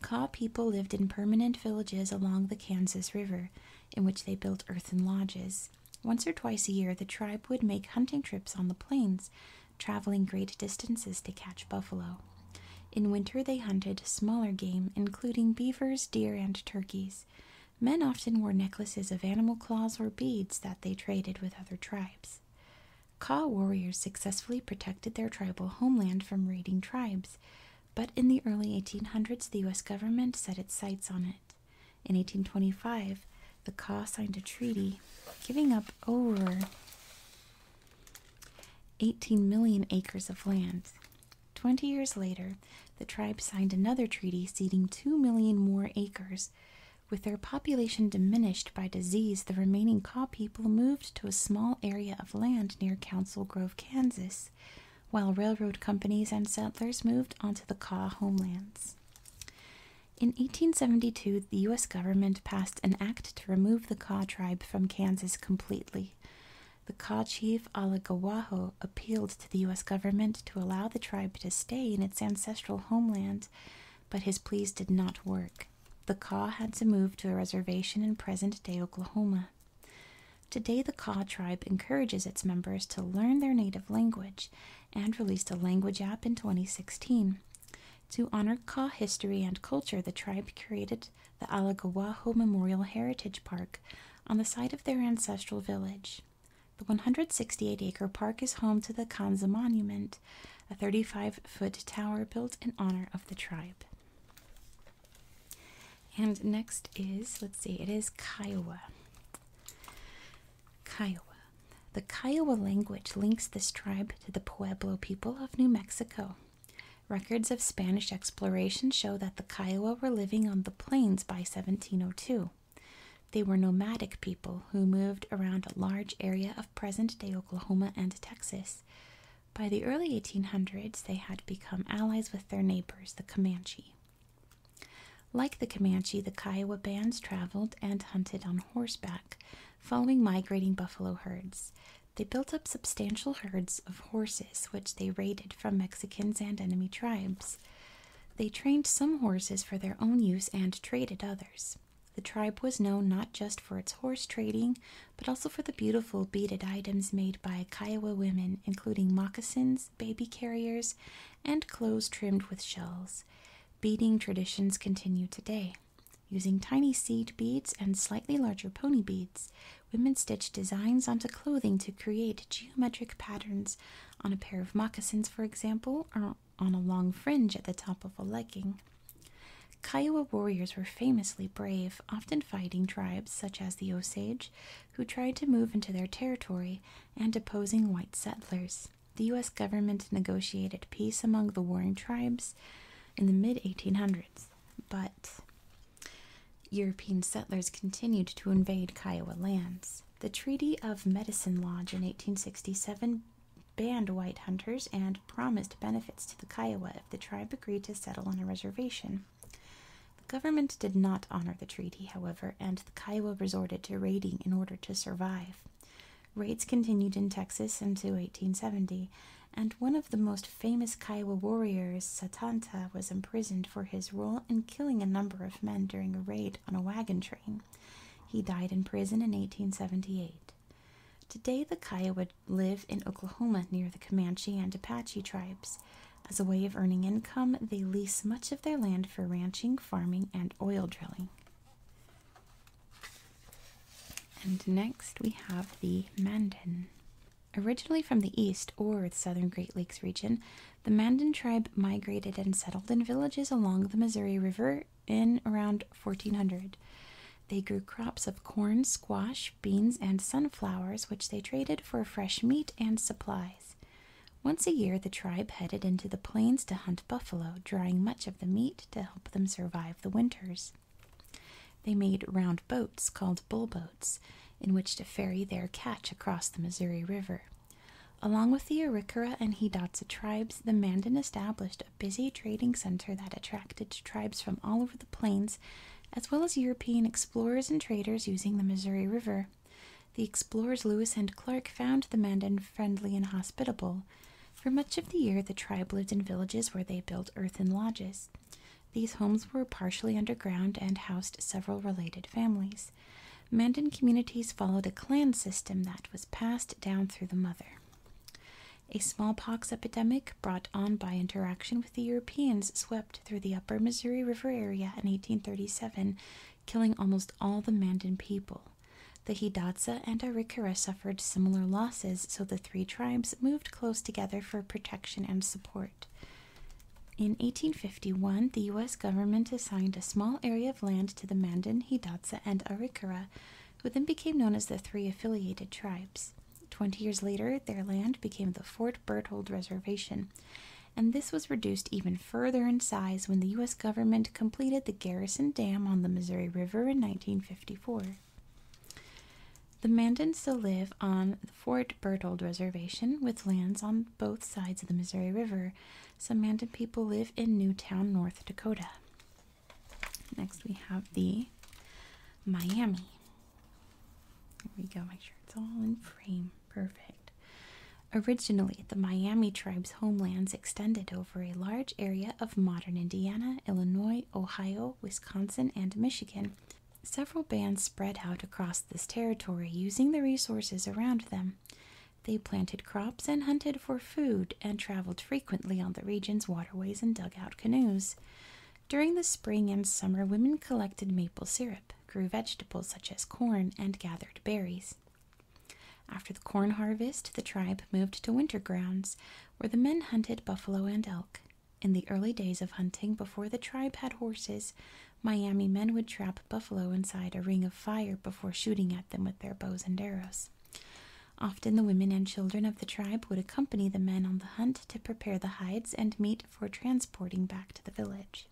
Kaw people lived in permanent villages along the Kansas River, in which they built earthen lodges. Once or twice a year, the tribe would make hunting trips on the plains, traveling great distances to catch buffalo. In winter, they hunted smaller game, including beavers, deer, and turkeys. Men often wore necklaces of animal claws or beads that they traded with other tribes. Ka warriors successfully protected their tribal homeland from raiding tribes, but in the early 1800s the U.S. government set its sights on it. In 1825, the Ka signed a treaty giving up over 18 million acres of land. Twenty years later, the tribe signed another treaty ceding 2 million more acres with their population diminished by disease, the remaining Kaw people moved to a small area of land near Council Grove, Kansas, while railroad companies and settlers moved onto the Kaw homelands. In 1872, the U.S. government passed an act to remove the Kaw tribe from Kansas completely. The Kaw chief Alagawaho appealed to the U.S. government to allow the tribe to stay in its ancestral homeland, but his pleas did not work. The Kaw had to move to a reservation in present day Oklahoma. Today, the Kaw tribe encourages its members to learn their native language and released a language app in 2016. To honor Kaw history and culture, the tribe created the Alagawaho Memorial Heritage Park on the site of their ancestral village. The 168 acre park is home to the Kanza Monument, a 35 foot tower built in honor of the tribe. And next is, let's see, it is Kiowa. Kiowa. The Kiowa language links this tribe to the Pueblo people of New Mexico. Records of Spanish exploration show that the Kiowa were living on the plains by 1702. They were nomadic people who moved around a large area of present day Oklahoma and Texas. By the early 1800s, they had become allies with their neighbors, the Comanche. Like the Comanche, the Kiowa bands traveled and hunted on horseback, following migrating buffalo herds. They built up substantial herds of horses, which they raided from Mexicans and enemy tribes. They trained some horses for their own use and traded others. The tribe was known not just for its horse trading, but also for the beautiful beaded items made by Kiowa women, including moccasins, baby carriers, and clothes trimmed with shells. Beading traditions continue today. Using tiny seed beads and slightly larger pony beads, women stitch designs onto clothing to create geometric patterns on a pair of moccasins, for example, on a long fringe at the top of a legging. Kiowa warriors were famously brave, often fighting tribes such as the Osage, who tried to move into their territory, and opposing white settlers. The U.S. government negotiated peace among the warring tribes in the mid 1800s, but European settlers continued to invade Kiowa lands. The Treaty of Medicine Lodge in 1867 banned white hunters and promised benefits to the Kiowa if the tribe agreed to settle on a reservation. The government did not honor the treaty, however, and the Kiowa resorted to raiding in order to survive. Raids continued in Texas until 1870, and one of the most famous Kiowa warriors, Satanta, was imprisoned for his role in killing a number of men during a raid on a wagon train. He died in prison in 1878. Today, the Kiowa live in Oklahoma near the Comanche and Apache tribes. As a way of earning income, they lease much of their land for ranching, farming, and oil drilling. And next we have the Mandan. Originally from the east or southern Great Lakes region, the Mandan tribe migrated and settled in villages along the Missouri River in around 1400. They grew crops of corn, squash, beans, and sunflowers, which they traded for fresh meat and supplies. Once a year, the tribe headed into the plains to hunt buffalo, drying much of the meat to help them survive the winters. They made round boats called bullboats, in which to ferry their catch across the Missouri River. Along with the Arikara and Hidatsa tribes, the Mandan established a busy trading center that attracted tribes from all over the plains, as well as European explorers and traders using the Missouri River. The explorers Lewis and Clark found the Mandan friendly and hospitable. For much of the year, the tribe lived in villages where they built earthen lodges. These homes were partially underground and housed several related families. Mandan communities followed a clan system that was passed down through the mother. A smallpox epidemic brought on by interaction with the Europeans swept through the upper Missouri River area in 1837, killing almost all the Mandan people. The Hidatsa and Arikara suffered similar losses, so the three tribes moved close together for protection and support. In 1851, the U.S. government assigned a small area of land to the Mandan, Hidatsa, and Arikara, who then became known as the three affiliated tribes. Twenty years later, their land became the Fort Berthold Reservation, and this was reduced even further in size when the U.S. government completed the Garrison Dam on the Missouri River in 1954. The Mandans still live on the Fort Berthold Reservation with lands on both sides of the Missouri River, Samanda people live in Newtown, North Dakota. Next, we have the Miami. There we go, make sure it's all in frame. Perfect. Originally, the Miami tribe's homelands extended over a large area of modern Indiana, Illinois, Ohio, Wisconsin, and Michigan. Several bands spread out across this territory using the resources around them. They planted crops and hunted for food and traveled frequently on the region's waterways in dugout canoes. During the spring and summer, women collected maple syrup, grew vegetables such as corn, and gathered berries. After the corn harvest, the tribe moved to winter grounds, where the men hunted buffalo and elk. In the early days of hunting, before the tribe had horses, Miami men would trap buffalo inside a ring of fire before shooting at them with their bows and arrows. Often the women and children of the tribe would accompany the men on the hunt to prepare the hides and meat for transporting back to the village.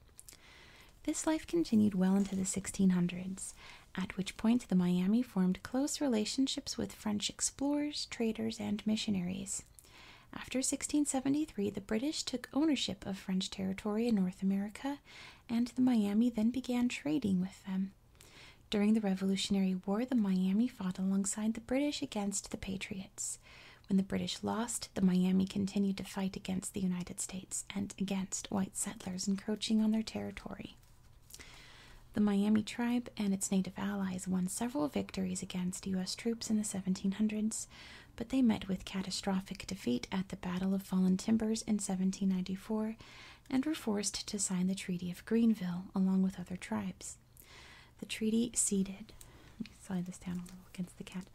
This life continued well into the 1600s, at which point the Miami formed close relationships with French explorers, traders, and missionaries. After 1673, the British took ownership of French territory in North America and the Miami then began trading with them. During the Revolutionary War, the Miami fought alongside the British against the Patriots. When the British lost, the Miami continued to fight against the United States and against white settlers encroaching on their territory. The Miami tribe and its native allies won several victories against U.S. troops in the 1700s, but they met with catastrophic defeat at the Battle of Fallen Timbers in 1794 and were forced to sign the Treaty of Greenville along with other tribes. The treaty ceded, slide this down a little against the cat.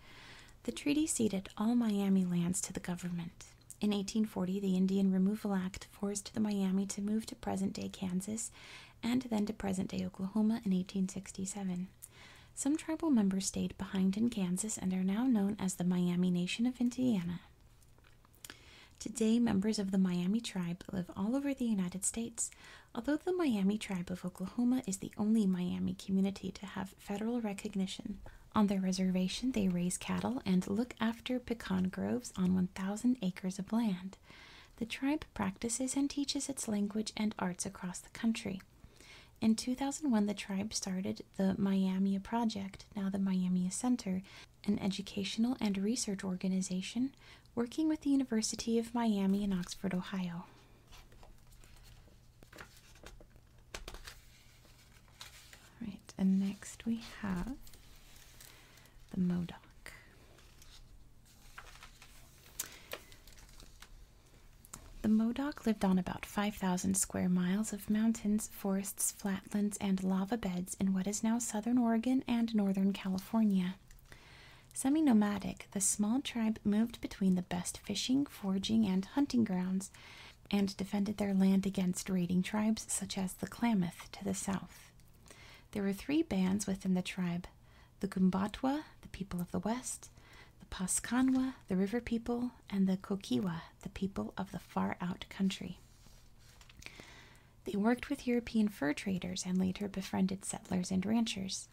The treaty ceded all Miami lands to the government. In 1840, the Indian Removal Act forced the Miami to move to present day Kansas and then to present day Oklahoma in 1867. Some tribal members stayed behind in Kansas and are now known as the Miami Nation of Indiana. Today, members of the Miami tribe live all over the United States. Although the Miami tribe of Oklahoma is the only Miami community to have federal recognition, on their reservation they raise cattle and look after pecan groves on 1,000 acres of land. The tribe practices and teaches its language and arts across the country. In 2001, the tribe started the Miami Project, now the Miami Center, an educational and research organization working with the University of Miami in Oxford, Ohio. All right, and next we have the Modoc. The Modoc lived on about 5,000 square miles of mountains, forests, flatlands, and lava beds in what is now southern Oregon and northern California. Semi nomadic, the small tribe moved between the best fishing, foraging, and hunting grounds and defended their land against raiding tribes such as the Klamath to the south. There were three bands within the tribe the Kumbatwa, the people of the west, the Paskanwa, the river people, and the Kokiwa, the people of the far out country. They worked with European fur traders and later befriended settlers and ranchers.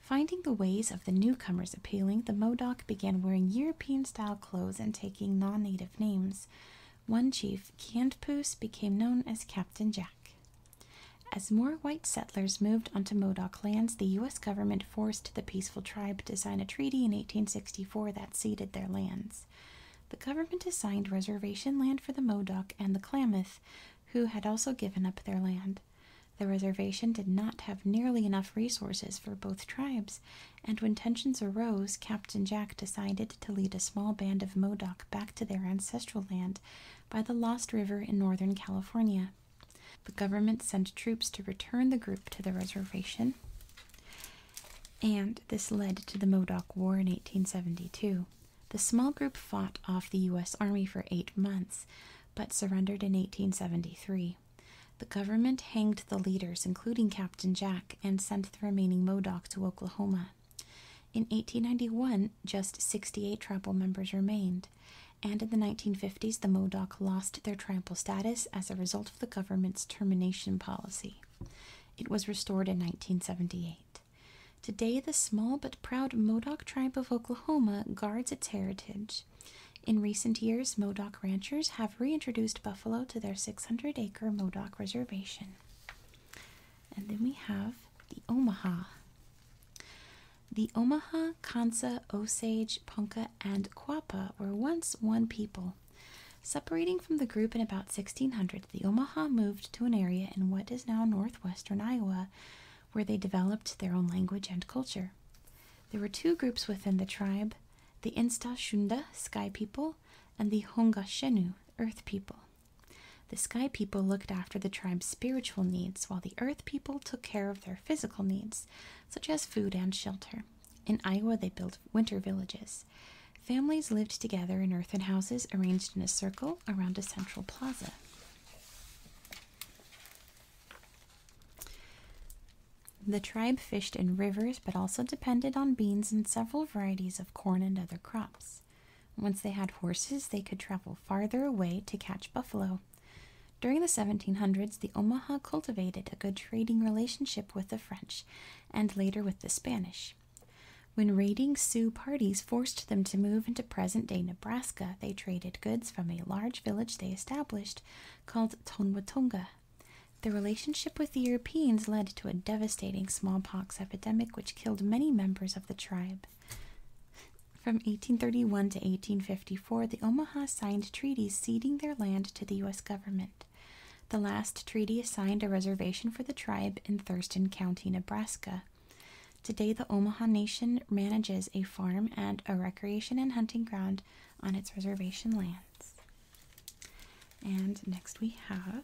Finding the ways of the newcomers appealing, the Modoc began wearing European style clothes and taking non native names. One chief, Candpoose, became known as Captain Jack. As more white settlers moved onto Modoc lands, the U.S. government forced the peaceful tribe to sign a treaty in 1864 that ceded their lands. The government assigned reservation land for the Modoc and the Klamath, who had also given up their land. The reservation did not have nearly enough resources for both tribes, and when tensions arose, Captain Jack decided to lead a small band of Modoc back to their ancestral land by the Lost River in northern California. The government sent troops to return the group to the reservation and this led to the Modoc War in 1872. The small group fought off the U.S. Army for eight months, but surrendered in 1873. The government hanged the leaders, including Captain Jack, and sent the remaining Modoc to Oklahoma. In 1891, just 68 tribal members remained, and in the 1950s, the Modoc lost their tribal status as a result of the government's termination policy. It was restored in 1978. Today, the small but proud Modoc tribe of Oklahoma guards its heritage. In recent years, Modoc ranchers have reintroduced buffalo to their 600 acre Modoc reservation. And then we have the Omaha. The Omaha, Kansa, Osage, Ponca, and Quapaw were once one people. Separating from the group in about 1600, the Omaha moved to an area in what is now northwestern Iowa, where they developed their own language and culture. There were two groups within the tribe the Insta Shunda, Sky People, and the Hunga Shenu, Earth People. The Sky People looked after the tribe's spiritual needs, while the Earth People took care of their physical needs, such as food and shelter. In Iowa, they built winter villages. Families lived together in earthen houses arranged in a circle around a central plaza. The tribe fished in rivers but also depended on beans and several varieties of corn and other crops. Once they had horses, they could travel farther away to catch buffalo. During the 1700s, the Omaha cultivated a good trading relationship with the French and later with the Spanish. When raiding Sioux parties forced them to move into present day Nebraska, they traded goods from a large village they established called Tonwatonga. The relationship with the Europeans led to a devastating smallpox epidemic which killed many members of the tribe. From 1831 to 1854, the Omaha signed treaties ceding their land to the U.S. government. The last treaty assigned a reservation for the tribe in Thurston County, Nebraska. Today, the Omaha Nation manages a farm and a recreation and hunting ground on its reservation lands. And next we have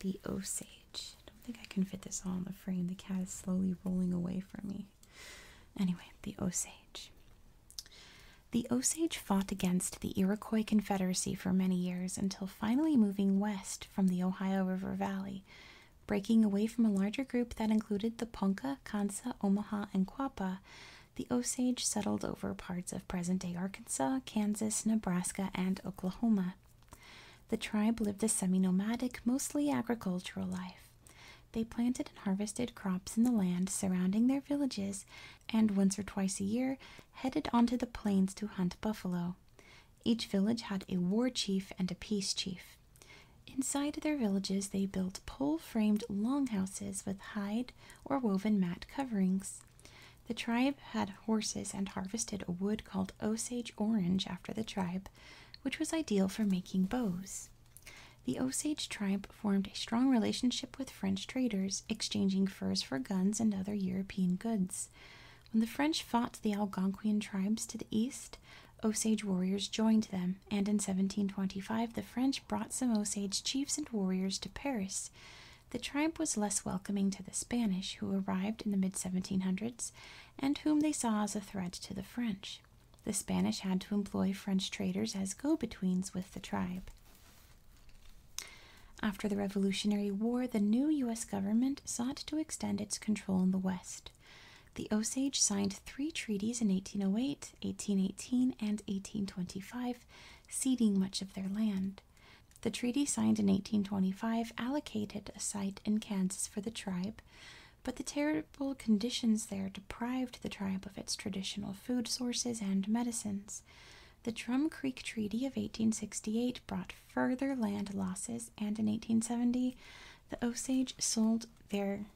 the Osage. I don't think I can fit this all in the frame. The cat is slowly rolling away from me. Anyway, the Osage. The Osage fought against the Iroquois Confederacy for many years until finally moving west from the Ohio River Valley, breaking away from a larger group that included the Ponca, Kansa, Omaha, and Quapaw. The Osage settled over parts of present day Arkansas, Kansas, Nebraska, and Oklahoma. The tribe lived a semi nomadic, mostly agricultural life. They planted and harvested crops in the land surrounding their villages and once or twice a year headed onto the plains to hunt buffalo. Each village had a war chief and a peace chief. Inside their villages, they built pole framed longhouses with hide or woven mat coverings. The tribe had horses and harvested a wood called Osage orange after the tribe, which was ideal for making bows. The Osage tribe formed a strong relationship with French traders, exchanging furs for guns and other European goods. When the French fought the Algonquian tribes to the east, Osage warriors joined them, and in 1725 the French brought some Osage chiefs and warriors to Paris. The triumph was less welcoming to the Spanish, who arrived in the mid 1700s and whom they saw as a threat to the French. The Spanish had to employ French traders as go betweens with the tribe. After the Revolutionary War, the new U.S. government sought to extend its control in the West. The Osage signed three treaties in eighteen o oh eight, eighteen eighteen, and 1825, ceding much of their land. The treaty signed in 1825 allocated a site in Kansas for the tribe, but the terrible conditions there deprived the tribe of its traditional food sources and medicines. The Drum Creek Treaty of 1868 brought further land losses, and in 1870, the Osage sold their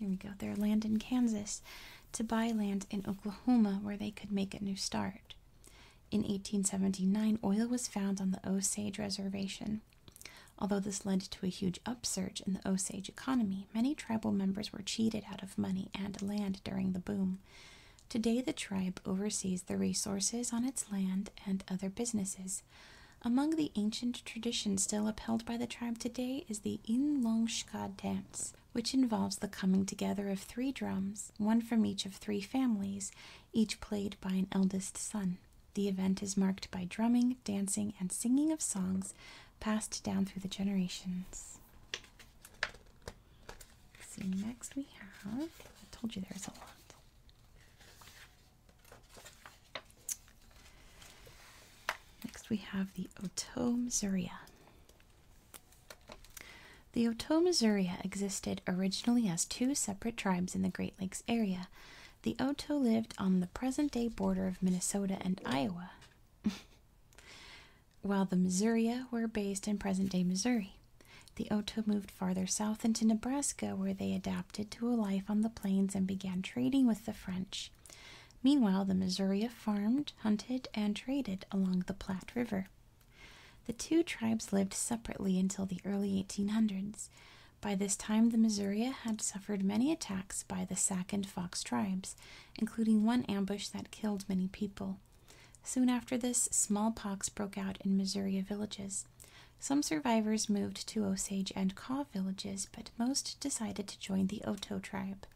there we go their land in Kansas to buy land in Oklahoma where they could make a new start. In 1879, oil was found on the Osage reservation. Although this led to a huge upsurge in the Osage economy, many tribal members were cheated out of money and land during the boom. Today, the tribe oversees the resources on its land and other businesses. Among the ancient traditions still upheld by the tribe today is the Inlongshka dance, which involves the coming together of three drums, one from each of three families, each played by an eldest son. The event is marked by drumming, dancing, and singing of songs passed down through the generations next we have, I told you there's a lot. Next we have the Otoe Missouria. The Otoe Missouria existed originally as two separate tribes in the Great Lakes area. The Otoe lived on the present day border of Minnesota and Iowa. while the Missouri were based in present day Missouri. The Oto moved farther south into Nebraska, where they adapted to a life on the plains and began trading with the French. Meanwhile, the Missouri farmed, hunted, and traded along the Platte River. The two tribes lived separately until the early 1800s. By this time, the Missouri had suffered many attacks by the Sac and Fox tribes, including one ambush that killed many people. Soon after this, smallpox broke out in Missouri villages. Some survivors moved to Osage and Kaw villages, but most decided to join the Oto tribe.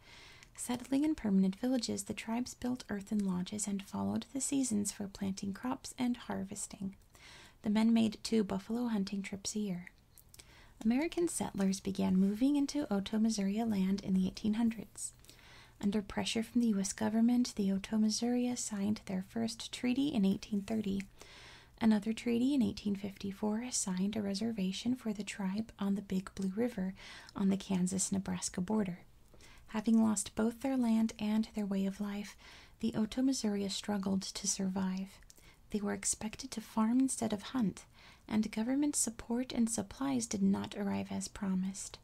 Settling in permanent villages, the tribes built earthen lodges and followed the seasons for planting crops and harvesting. The men made two buffalo hunting trips a year. American settlers began moving into Oto, Missouri land in the 1800s. Under pressure from the U.S. government, the oto Otomissouri signed their first treaty in 1830. Another treaty in 1854 assigned a reservation for the tribe on the Big Blue River on the Kansas Nebraska border. Having lost both their land and their way of life, the oto Otomissouri struggled to survive. They were expected to farm instead of hunt, and government support and supplies did not arrive as promised.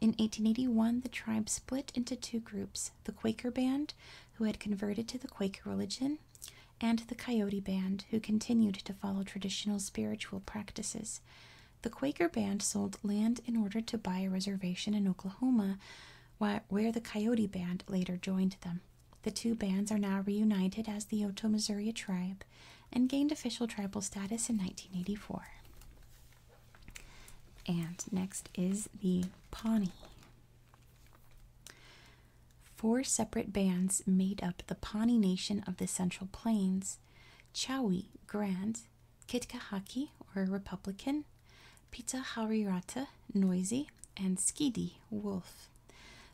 In 1881, the tribe split into two groups the Quaker Band, who had converted to the Quaker religion, and the Coyote Band, who continued to follow traditional spiritual practices. The Quaker Band sold land in order to buy a reservation in Oklahoma, where the Coyote Band later joined them. The two bands are now reunited as the Oto Missouri tribe, and gained official tribal status in 1984. And next is the Pawnee. Four separate bands made up the Pawnee Nation of the Central Plains Chowi Grand, Kitkahaki or Republican, Pita Harirata Noisy, and Skidi Wolf.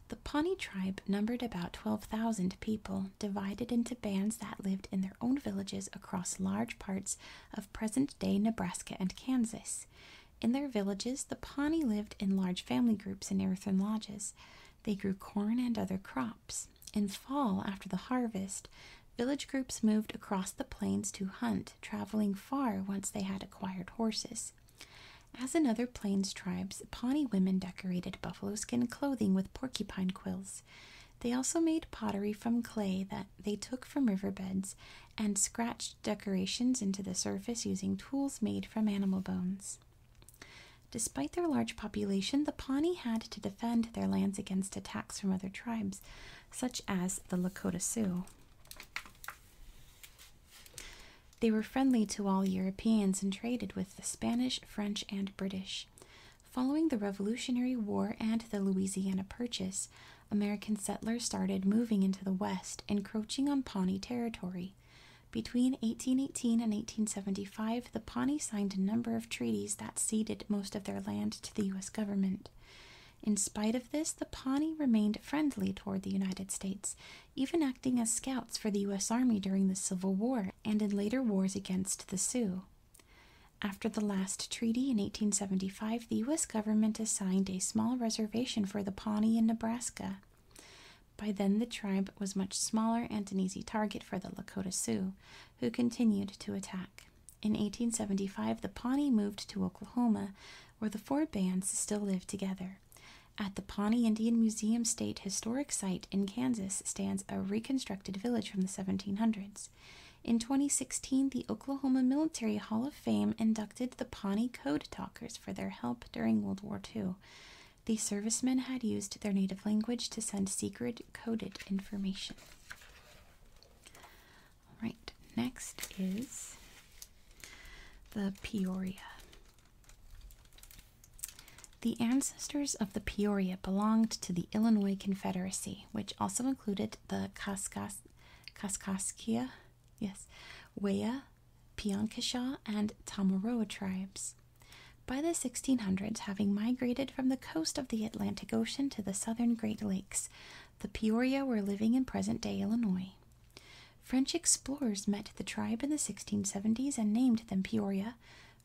The Pawnee tribe numbered about 12,000 people divided into bands that lived in their own villages across large parts of present day Nebraska and Kansas. In their villages, the Pawnee lived in large family groups in earthen lodges. They grew corn and other crops. In fall, after the harvest, village groups moved across the plains to hunt, traveling far once they had acquired horses. As in other plains tribes, Pawnee women decorated buffalo skin clothing with porcupine quills. They also made pottery from clay that they took from riverbeds and scratched decorations into the surface using tools made from animal bones. Despite their large population, the Pawnee had to defend their lands against attacks from other tribes, such as the Lakota Sioux. They were friendly to all Europeans and traded with the Spanish, French, and British. Following the Revolutionary War and the Louisiana Purchase, American settlers started moving into the West, encroaching on Pawnee territory. Between 1818 and 1875, the Pawnee signed a number of treaties that ceded most of their land to the U.S. government. In spite of this, the Pawnee remained friendly toward the United States, even acting as scouts for the U.S. Army during the Civil War and in later wars against the Sioux. After the last treaty in 1875, the U.S. government assigned a small reservation for the Pawnee in Nebraska. By then, the tribe was much smaller and an easy target for the Lakota Sioux, who continued to attack. In 1875, the Pawnee moved to Oklahoma, where the four bands still live together. At the Pawnee Indian Museum State Historic Site in Kansas stands a reconstructed village from the 1700s. In 2016, the Oklahoma Military Hall of Fame inducted the Pawnee Code Talkers for their help during World War II. The servicemen had used their native language to send secret coded information. All right, next is the Peoria. The ancestors of the Peoria belonged to the Illinois Confederacy, which also included the Kaskaskia, yes, Waya, Pionkeshaw, and Tamaroa tribes. By the 1600s, having migrated from the coast of the Atlantic Ocean to the southern Great Lakes, the Peoria were living in present day Illinois. French explorers met the tribe in the 1670s and named them Peoria,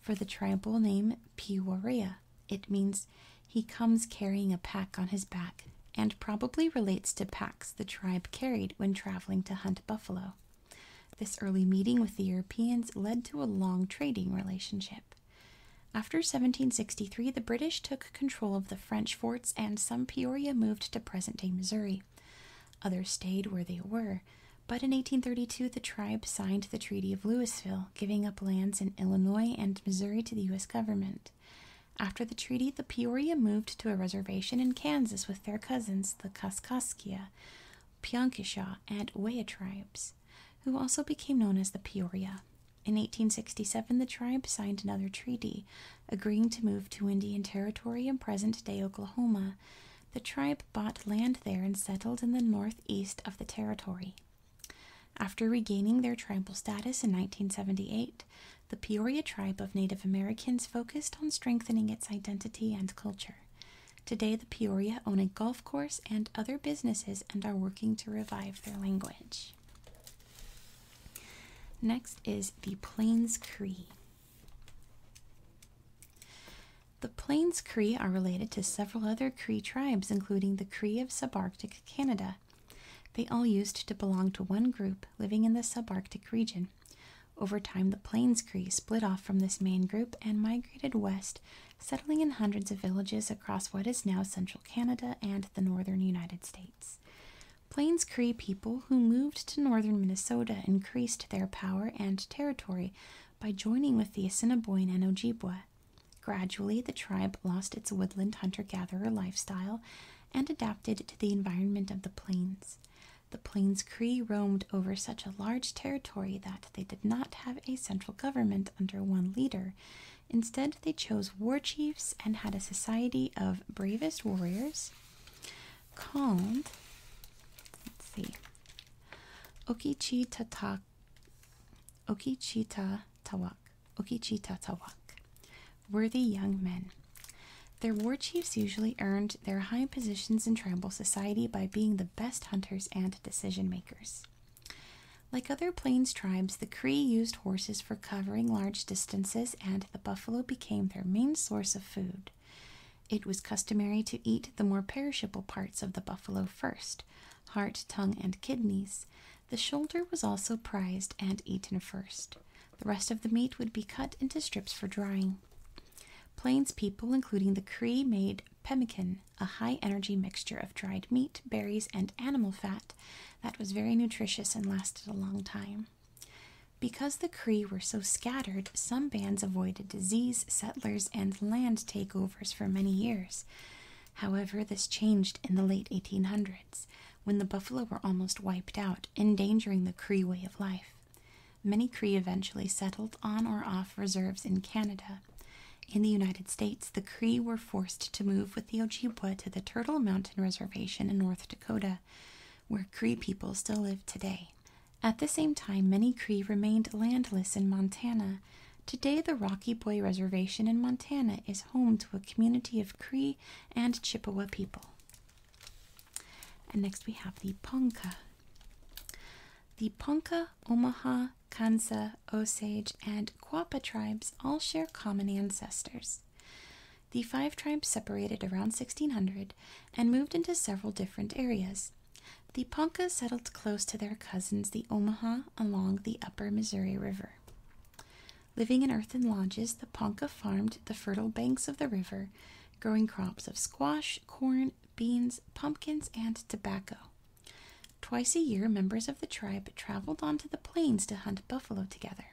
for the tribal name Peoria, it means he comes carrying a pack on his back and probably relates to packs the tribe carried when traveling to hunt buffalo. This early meeting with the Europeans led to a long trading relationship. After 1763, the British took control of the French forts and some Peoria moved to present day Missouri. Others stayed where they were, but in 1832 the tribe signed the Treaty of Louisville, giving up lands in Illinois and Missouri to the U.S. government. After the treaty, the Peoria moved to a reservation in Kansas with their cousins, the Kaskaskia, Pionkishaw, and Weah tribes, who also became known as the Peoria. In 1867, the tribe signed another treaty, agreeing to move to Indian Territory in present day Oklahoma. The tribe bought land there and settled in the northeast of the territory. After regaining their tribal status in 1978, the Peoria tribe of Native Americans focused on strengthening its identity and culture. Today, the Peoria own a golf course and other businesses and are working to revive their language. Next is the Plains Cree. The Plains Cree are related to several other Cree tribes, including the Cree of subarctic Canada. They all used to belong to one group living in the subarctic region. Over time, the Plains Cree split off from this main group and migrated west, settling in hundreds of villages across what is now central Canada and the northern United States. Plains Cree people who moved to northern Minnesota increased their power and territory by joining with the Assiniboine and Ojibwe. Gradually, the tribe lost its woodland hunter gatherer lifestyle and adapted to the environment of the plains. The Plains Cree roamed over such a large territory that they did not have a central government under one leader. Instead, they chose war chiefs and had a society of bravest warriors called, let's see, Okichi Tata Tawak, Okichita Tawak, Okichita Tawak, worthy young men. Their war chiefs usually earned their high positions in tribal society by being the best hunters and decision makers. Like other plains tribes, the Cree used horses for covering large distances, and the buffalo became their main source of food. It was customary to eat the more perishable parts of the buffalo first, heart, tongue, and kidneys. The shoulder was also prized and eaten first. The rest of the meat would be cut into strips for drying. Plains people, including the Cree, made pemmican, a high energy mixture of dried meat, berries, and animal fat that was very nutritious and lasted a long time. Because the Cree were so scattered, some bands avoided disease, settlers, and land takeovers for many years. However, this changed in the late 1800s when the buffalo were almost wiped out, endangering the Cree way of life. Many Cree eventually settled on or off reserves in Canada. In the United States, the Cree were forced to move with the Ojibwa to the Turtle Mountain Reservation in North Dakota, where Cree people still live today. At the same time, many Cree remained landless in Montana, Today, the Rocky Boy Reservation in Montana is home to a community of Cree and Chippewa people. And next we have the Ponca. The Ponca, Omaha, Kansa, Osage, and Quapaw tribes all share common ancestors. The five tribes separated around 1600 and moved into several different areas. The Ponca settled close to their cousins, the Omaha, along the upper Missouri River. Living in earthen lodges, the Ponca farmed the fertile banks of the river, growing crops of squash, corn, beans, pumpkins, and tobacco. Twice a year, members of the tribe traveled onto the plains to hunt buffalo together.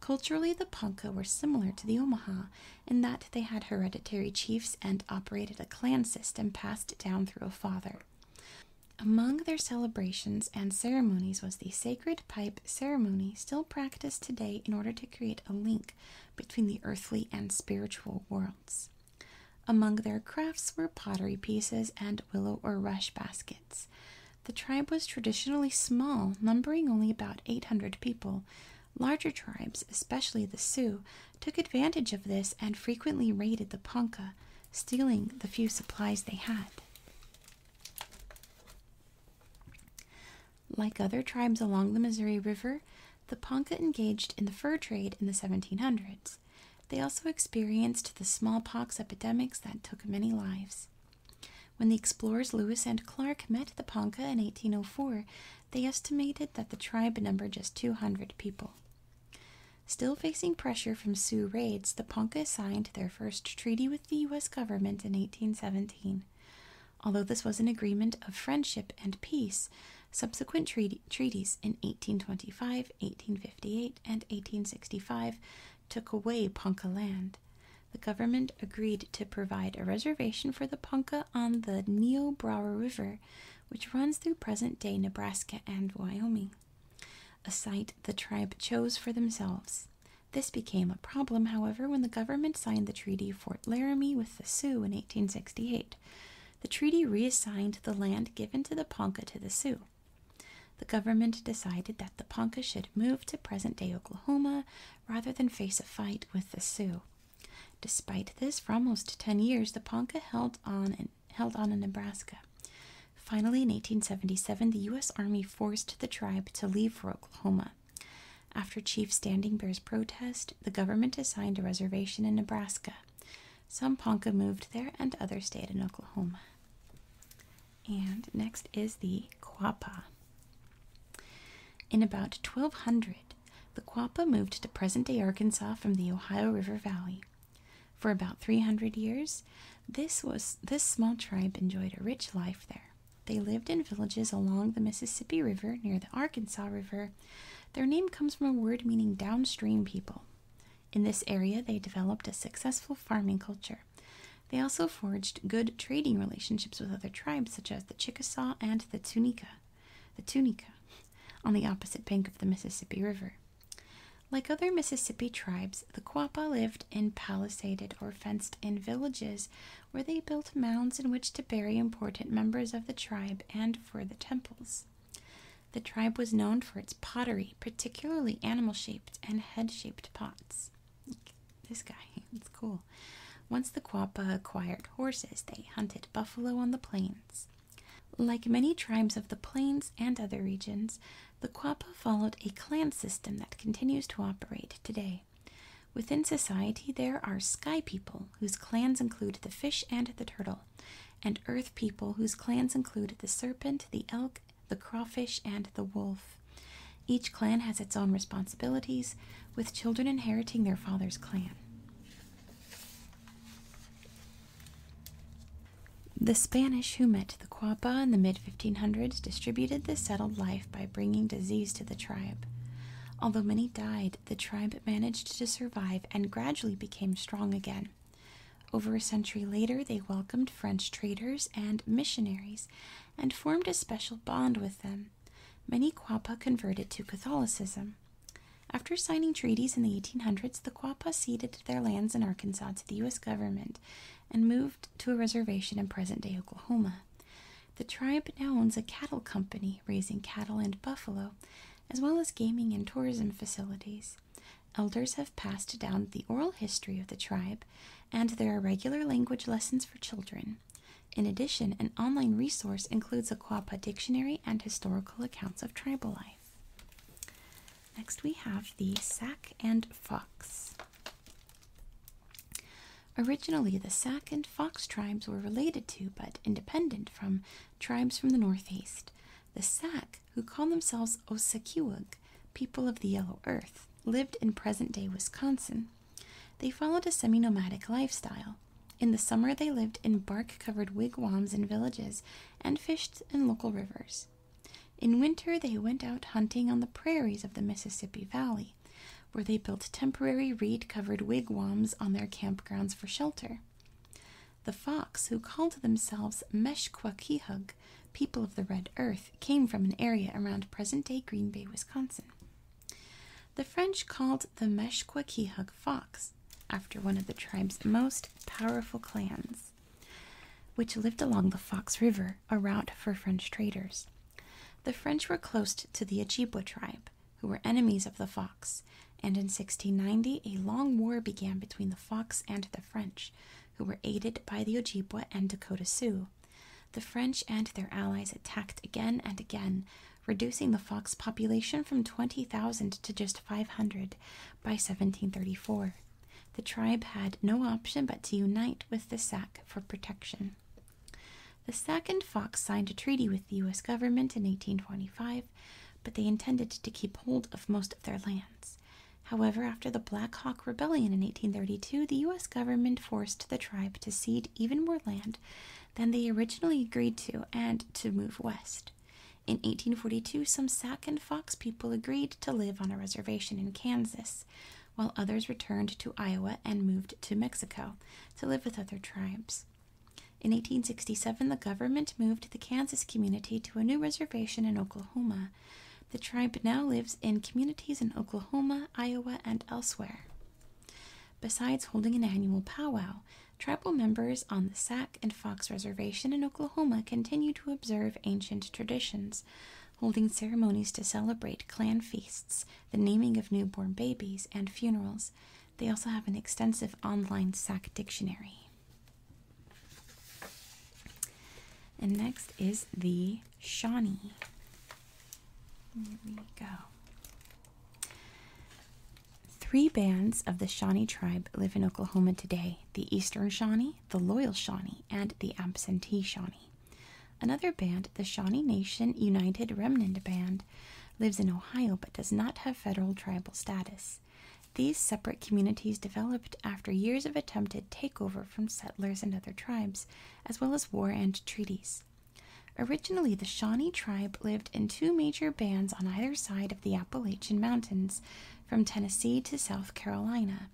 Culturally, the Ponca were similar to the Omaha in that they had hereditary chiefs and operated a clan system passed down through a father. Among their celebrations and ceremonies was the sacred pipe ceremony, still practiced today in order to create a link between the earthly and spiritual worlds. Among their crafts were pottery pieces and willow or rush baskets. The tribe was traditionally small, numbering only about 800 people. Larger tribes, especially the Sioux, took advantage of this and frequently raided the Ponca stealing the few supplies they had. Like other tribes along the Missouri River, the Ponca engaged in the fur trade in the 1700s. They also experienced the smallpox epidemics that took many lives. When the explorers Lewis and Clark met the Ponca in 1804, they estimated that the tribe numbered just 200 people. Still facing pressure from Sioux raids, the Ponca signed their first treaty with the U.S. government in 1817. Although this was an agreement of friendship and peace, subsequent treaties in 1825, 1858, and 1865 took away Ponca land. The government agreed to provide a reservation for the Ponca on the Niobrara River, which runs through present day Nebraska and Wyoming a site the tribe chose for themselves. This became a problem, however, when the government signed the Treaty Fort Laramie with the Sioux in 1868. The treaty reassigned the land given to the Ponca to the Sioux. The government decided that the Ponca should move to present day Oklahoma rather than face a fight with the Sioux. Despite this, for almost 10 years, the Ponca held on an held on in Nebraska. Finally, in 1877, the U.S. Army forced the tribe to leave for Oklahoma. After Chief Standing Bear's protest, the government assigned a reservation in Nebraska. Some Ponca moved there and others stayed in Oklahoma. And next is the Quapaw. In about 1200, the Quapaw moved to present day Arkansas from the Ohio River Valley. For about 300 years, this was this small tribe enjoyed a rich life there. They lived in villages along the Mississippi River near the Arkansas River. Their name comes from a word meaning downstream people. In this area, they developed a successful farming culture. They also forged good trading relationships with other tribes such as the Chickasaw and the Tunica. The Tunica on the opposite bank of the Mississippi River. Like other Mississippi tribes, the Quapaw lived in palisaded or fenced in villages where they built mounds in which to bury important members of the tribe and for the temples. The tribe was known for its pottery, particularly animal shaped and head shaped pots. This guy, it's cool. Once the Quapaw acquired horses, they hunted buffalo on the plains. Like many tribes of the plains and other regions, the Quapa followed a clan system that continues to operate today. Within society, there are sky people, whose clans include the fish and the turtle, and earth people, whose clans include the serpent, the elk, the crawfish, and the wolf. Each clan has its own responsibilities, with children inheriting their father's clan. The Spanish who met the Quapaw in the mid 1500s distributed the settled life by bringing disease to the tribe. Although many died, the tribe managed to survive and gradually became strong again. Over a century later, they welcomed French traders and missionaries and formed a special bond with them. Many Quapaw converted to Catholicism. After signing treaties in the 1800s, the the Quapaw ceded their lands in Arkansas to the U.S. government and moved to a reservation in present day Oklahoma. The tribe now owns a cattle company raising cattle and buffalo, as well as gaming and tourism facilities. Elders have passed down the oral history of the tribe, and there are regular language lessons for children. In addition, an online resource includes a Quapaw dictionary and historical accounts of tribal life. Next, we have the Sac and Fox. Originally, the Sac and Fox tribes were related to but independent from tribes from the northeast. The Sac, who call themselves Osekiwug, people of the Yellow Earth, lived in present day Wisconsin. They followed a semi nomadic lifestyle. In the summer, they lived in bark covered wigwams in villages and fished in local rivers. In winter, they went out hunting on the prairies of the Mississippi Valley, where they built temporary reed covered wigwams on their campgrounds for shelter. The Fox, who called themselves Meshkwakihug, people of the Red Earth, came from an area around present day Green Bay, Wisconsin. The French called the Meshkwakihug Fox after one of the tribe's most powerful clans which lived along the Fox River, a route for French traders. The French were close to the Ojibwa tribe, who were enemies of the Fox, and in 1690 a long war began between the Fox and the French, who were aided by the Ojibwa and Dakota Sioux. The French and their allies attacked again and again, reducing the Fox population from 20,000 to just 500 by 1734. The tribe had no option but to unite with the Sac for protection. The Sac and Fox signed a treaty with the U.S. government in 1825, but they intended to keep hold of most of their lands. However, after the Black Hawk Rebellion in 1832, the U.S. government forced the tribe to cede even more land than they originally agreed to and to move west. In 1842, some Sac and Fox people agreed to live on a reservation in Kansas, while others returned to Iowa and moved to Mexico to live with other tribes. In 1867, the government moved the Kansas community to a new reservation in Oklahoma. The tribe now lives in communities in Oklahoma, Iowa, and elsewhere. Besides holding an annual powwow, tribal members on the Sac and Fox Reservation in Oklahoma continue to observe ancient traditions, holding ceremonies to celebrate clan feasts, the naming of newborn babies, and funerals. They also have an extensive online Sac dictionary. And next is the Shawnee. There we go. Three bands of the Shawnee tribe live in Oklahoma today the Eastern Shawnee the Loyal Shawnee, and the Absentee Shawnee. Another band, the Shawnee Nation United Remnant Band, lives in Ohio but does not have federal tribal status. These separate communities developed after years of attempted takeover from settlers and other tribes, as well as war and treaties. Originally, the Shawnee tribe lived in two major bands on either side of the Appalachian Mountains, from Tennessee to South Carolina.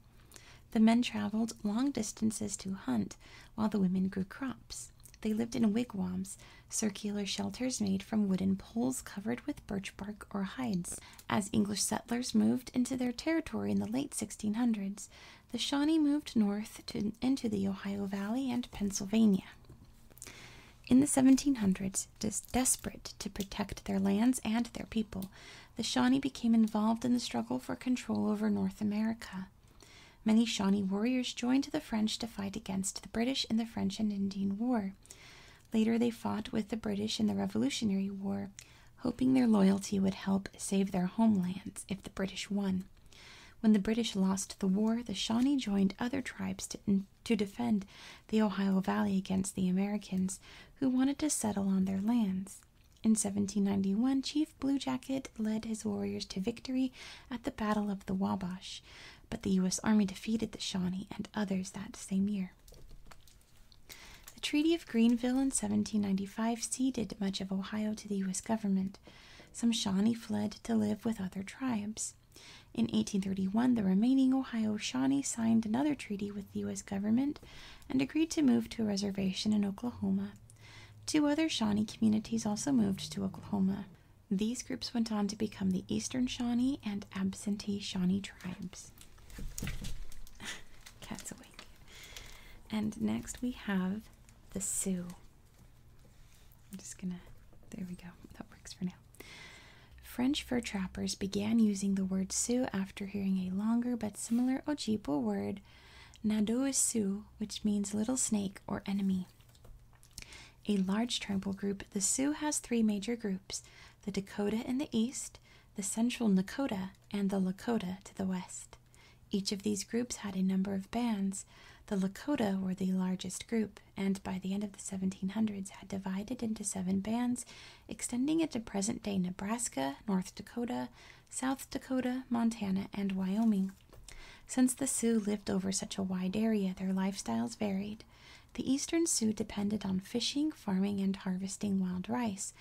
The men traveled long distances to hunt, while the women grew crops. They lived in wigwams, circular shelters made from wooden poles covered with birch bark or hides. As English settlers moved into their territory in the late 1600s, the Shawnee moved north into the Ohio Valley and Pennsylvania. In the 1700s, des desperate to protect their lands and their people, the Shawnee became involved in the struggle for control over North America. Many Shawnee warriors joined the French to fight against the British in the French and Indian War. Later, they fought with the British in the Revolutionary War, hoping their loyalty would help save their homelands if the British won. When the British lost the war, the Shawnee joined other tribes to, defend the Ohio Valley against the Americans, who wanted to settle on their lands. In 1791, Chief Blue Jacket led his warriors to victory at the Battle of the Wabash, but the U.S. Army defeated the Shawnee and others that same year. The Treaty of Greenville in 1795 ceded much of Ohio to the U.S. government. Some Shawnee fled to live with other tribes. In 1831, the remaining Ohio Shawnee signed another treaty with the U.S. government and agreed to move to a reservation in Oklahoma. Two other Shawnee communities also moved to Oklahoma. These groups went on to become the Eastern Shawnee and Absentee Shawnee tribes. Cat's awake. And next we have the Sioux. I'm just gonna, there we go, that works for now. French fur trappers began using the word Sioux after hearing a longer but similar Ojibwe word, Nadoisu, which means little snake or enemy. A large tribal group, the Sioux has three major groups the Dakota in the east, the Central Nakota, and the Lakota to the west. Each of these groups had a number of bands. The Lakota were the largest group, and by the end of the 1700s had divided into seven bands extending into present day Nebraska, North Dakota, South Dakota, Montana, and Wyoming. Since the Sioux lived over such a wide area, their lifestyles varied. The eastern Sioux depended on fishing, farming, and harvesting wild rice,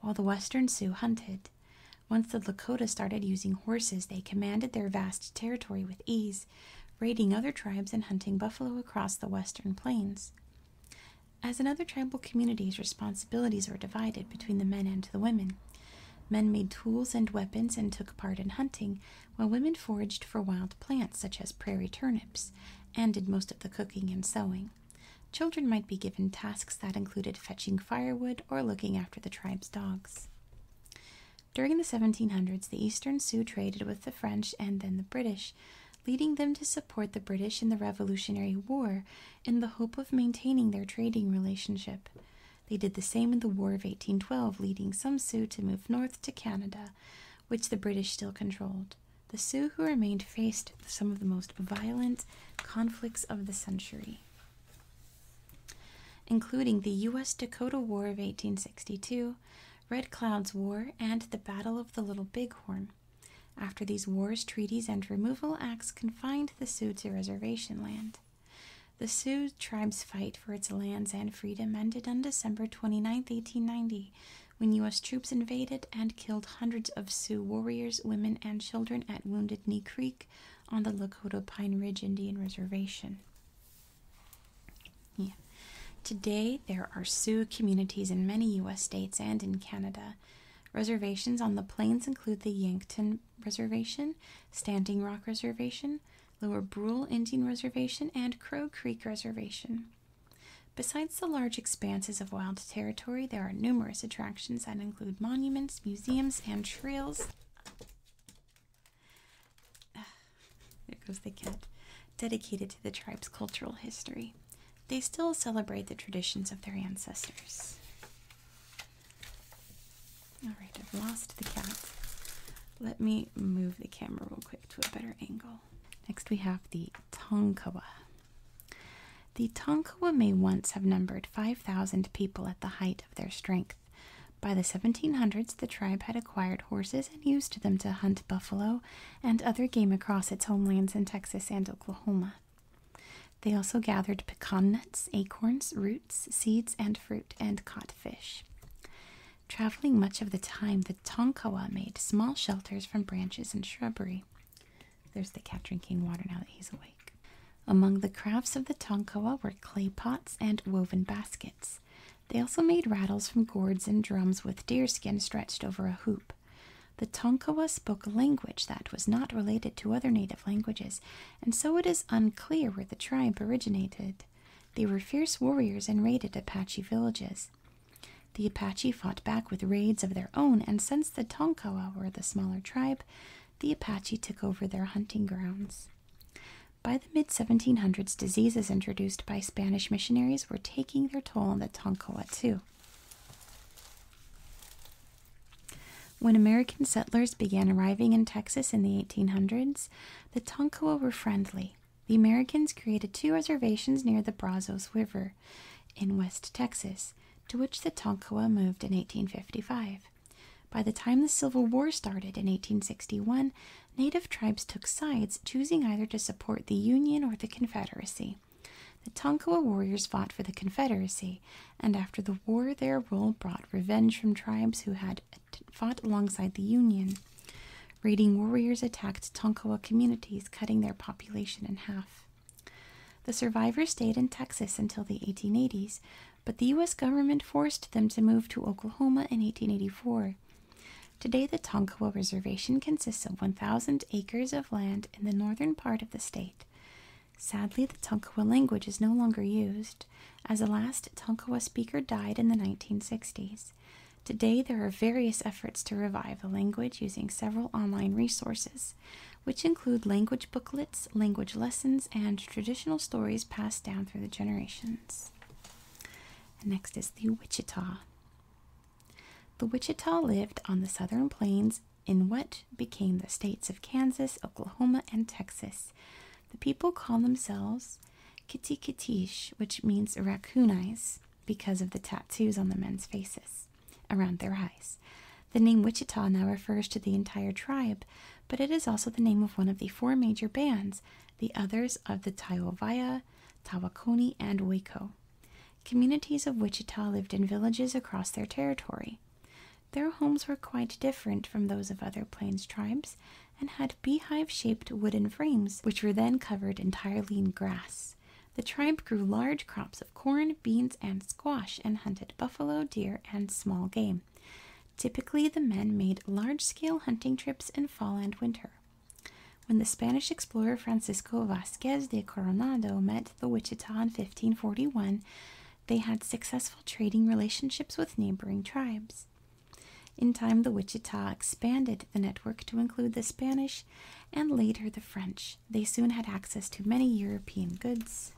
while the western Sioux hunted. Once the Lakota started using horses, they commanded their vast territory with ease, raiding other tribes and hunting buffalo across the western plains. As in other tribal communities, responsibilities were divided between the men and the women. Men made tools and weapons and took part in hunting, while women foraged for wild plants such as prairie turnips and did most of the cooking and sewing. Children might be given tasks that included fetching firewood or looking after the tribe's dogs. During the 1700s, the Eastern Sioux traded with the French and then the British, leading them to support the British in the Revolutionary War in the hope of maintaining their trading relationship. They did the same in the War of 1812, leading some Sioux to move north to Canada, which the British still controlled. The Sioux who remained faced some of the most violent conflicts of the century, including the U.S. Dakota War of 1862, Red Cloud's War, and the Battle of the Little Bighorn. After these wars, treaties, and removal acts confined the Sioux to reservation land. The Sioux tribe's fight for its lands and freedom ended on December 29, 1890, when U.S. troops invaded and killed hundreds of Sioux warriors, women, and children at Wounded Knee Creek on the Lakota Pine Ridge Indian Reservation. Today, there are Sioux communities in many U.S. states and in Canada. Reservations on the plains include the Yankton Reservation, Standing Rock Reservation, Lower Brule Indian Reservation, and Crow Creek Reservation. Besides the large expanses of wild territory, there are numerous attractions that include monuments, museums, and trails. There goes the cat, dedicated to the tribe's cultural history they still celebrate the traditions of their ancestors. Alright, I've lost the cat. Let me move the camera real quick to a better angle. Next, we have the Tonkawa. The Tonkawa may once have numbered 5,000 people at the height of their strength. By the 1700s, the tribe had acquired horses and used them to hunt buffalo and other game across its homelands in Texas and Oklahoma. They also gathered pecan nuts, acorns, roots, seeds, and fruit, and caught fish. Traveling much of the time, the Tonkawa made small shelters from branches and shrubbery. There's the cat drinking water now that he's awake. Among the crafts of the Tonkawa were clay pots and woven baskets. They also made rattles from gourds and drums with deerskin stretched over a hoop. The Tonkawa spoke a language that was not related to other native languages, and so it is unclear where the tribe originated. They were fierce warriors and raided Apache villages. The Apache fought back with raids of their own, and since the Tonkawa were the smaller tribe, the Apache took over their hunting grounds. By the mid 1700s, diseases introduced by Spanish missionaries were taking their toll on the Tonkawa too. When American settlers began arriving in Texas in the 1800s, the Tonkawa were friendly. The Americans created two reservations near the Brazos River in West Texas, to which the Tonkawa moved in 1855. By the time the Civil War started in 1861, native tribes took sides, choosing either to support the Union or the Confederacy. The Tonkawa warriors fought for the Confederacy, and after the war, their role brought revenge from tribes who had fought alongside the Union. Raiding warriors attacked Tonkawa communities, cutting their population in half. The survivors stayed in Texas until the 1880s, but the U.S. government forced them to move to Oklahoma in 1884. Today, the Tonkawa Reservation consists of 1,000 acres of land in the northern part of the state. Sadly, the Tonkawa language is no longer used, as the last Tonkawa speaker died in the 1960s. Today, there are various efforts to revive the language using several online resources, which include language booklets, language lessons, and traditional stories passed down through the generations. next is the Wichita. The Wichita lived on the southern plains in what became the states of Kansas, Oklahoma, and Texas. The people call themselves Kitikitish, which means raccoon eyes, because of the tattoos on the men's faces around their eyes. The name Wichita now refers to the entire tribe, but it is also the name of one of the four major bands, the others of the Taovaya, Tawakoni, and Waco. Communities of Wichita lived in villages across their territory. Their homes were quite different from those of other Plains tribes and had beehive shaped wooden frames, which were then covered entirely in grass. The tribe grew large crops of corn, beans, and squash and hunted buffalo, deer, and small game. Typically, the men made large scale hunting trips in fall and winter. When the Spanish explorer Francisco Vasquez de Coronado met the Wichita in 1541, they had successful trading relationships with neighboring tribes. In time, the Wichita expanded the network to include the Spanish and later the French. They soon had access to many European goods,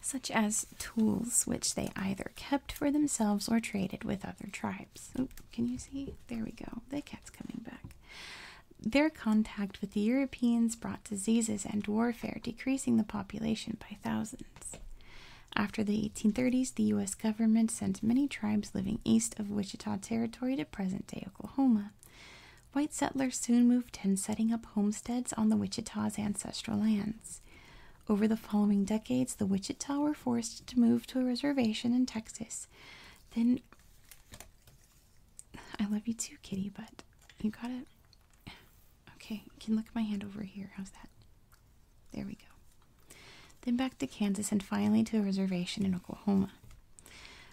such as tools which they either kept for themselves or traded with other tribes. can you see? There we go. The cat's coming back. Their contact with the Europeans brought diseases and warfare, decreasing the population by thousands. After the 1830s, the U.S. government sent many tribes living east of Wichita Territory to present day Oklahoma. White settlers soon moved in, setting up homesteads on the Wichita's ancestral lands. Over the following decades, the Wichita were forced to move to a reservation in Texas, then I love you too, kitty, but you got it. Okay, you can look at my hand over here. How's that? There we go. Then back to Kansas and finally to a reservation in Oklahoma,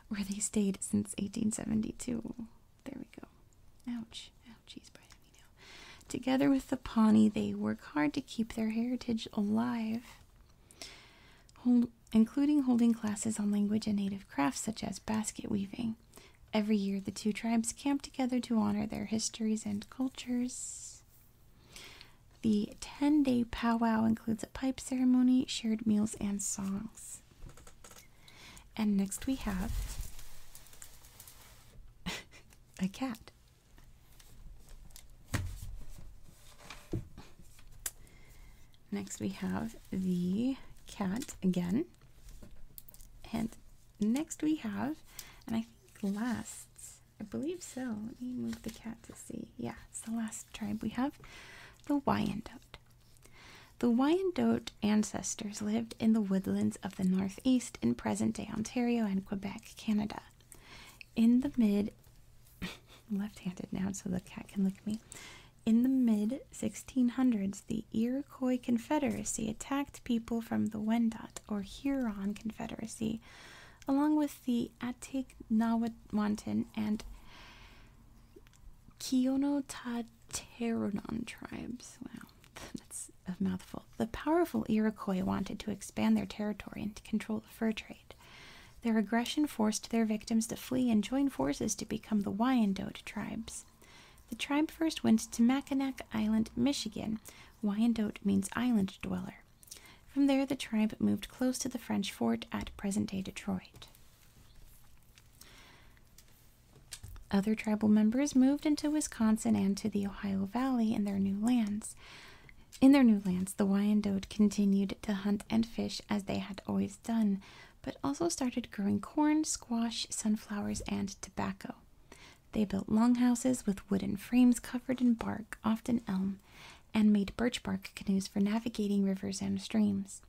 where they stayed since 1872. There we go. Ouch. Ouchies, bright me now. Together with the Pawnee, they work hard to keep their heritage alive including holding classes on language and native crafts such as basket weaving. Every year, the two tribes camp together to honor their histories and cultures. The 10 day powwow includes a pipe ceremony, shared meals, and songs. And next we have a cat. Next, we have the cat again. And next, we have, and I think last, I believe so. Let me move the cat to see. Yeah, it's the last tribe we have the Wyandot. The Wyandot ancestors lived in the woodlands of the Northeast in present day Ontario and Quebec, Canada in the mid left-handed now so the cat can look at me in the mid 1600s the iroquois confederacy attacked people from the wendat or huron confederacy along with the Atiknawatwan and Kionotateronon tribes. Wow, that's a mouthful. The powerful Iroquois wanted to expand their territory and control the fur trade. Their aggression forced their victims to flee and join forces to become the Wyandot tribes. The tribe first went to Mackinac Island, Michigan. Wyandot means island dweller. From there, the tribe moved close to the French fort at present day Detroit. Other tribal members moved into Wisconsin and to the Ohio Valley in their new lands. In their new lands, the Wyandot continued to hunt and fish as they had always done, but also started growing corn, squash, sunflowers, and tobacco. They built longhouses with wooden frames covered in bark, often elm, and made birch bark canoes for navigating rivers and streams.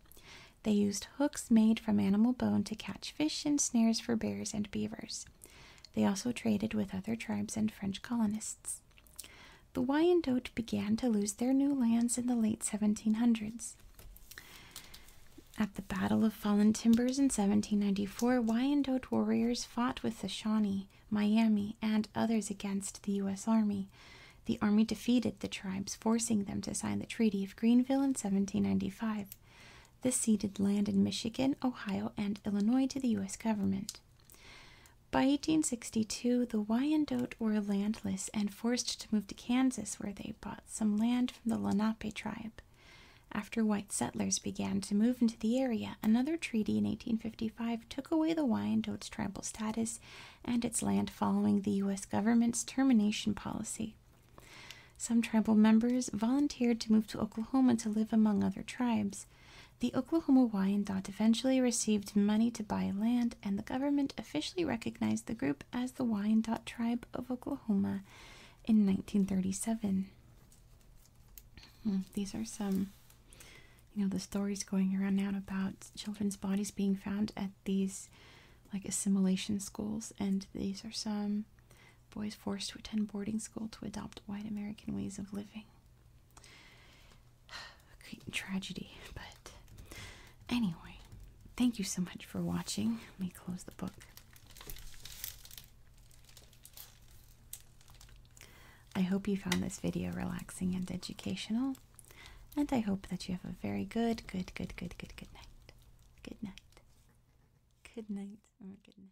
They used hooks made from animal bone to catch fish and snares for bears and beavers. They also traded with other tribes and French colonists. The Wyandot began to lose their new lands in the late 1700s. At the Battle of Fallen Timbers in 1794, Wyandot warriors fought with the Shawnee, Miami, and others against the U.S. Army. The Army defeated the tribes, forcing them to sign the Treaty of Greenville in 1795. This ceded land in Michigan, Ohio, and Illinois to the U.S. government. By 1862, the Wyandot were landless and forced to move to Kansas, where they bought some land from the Lenape tribe. After white settlers began to move into the area, another treaty in 1855 took away the Wyandot's tribal status and its land following the U.S. government's termination policy. Some tribal members volunteered to move to Oklahoma to live among other tribes. The Oklahoma Wyandot eventually received money to buy land and the government officially recognized the group as the Wyandot tribe of Oklahoma in 1937. Hmm, these are some, you know, the stories going around now about children's bodies being found at these like assimilation schools, and these are some boys forced to attend boarding school to adopt white American ways of living a great tragedy, but anyway, thank you so much for watching. Let me close the book. I hope you found this video relaxing and educational, and I hope that you have a very good, good, good, good, good, good night. Good night. Good night or oh, good night.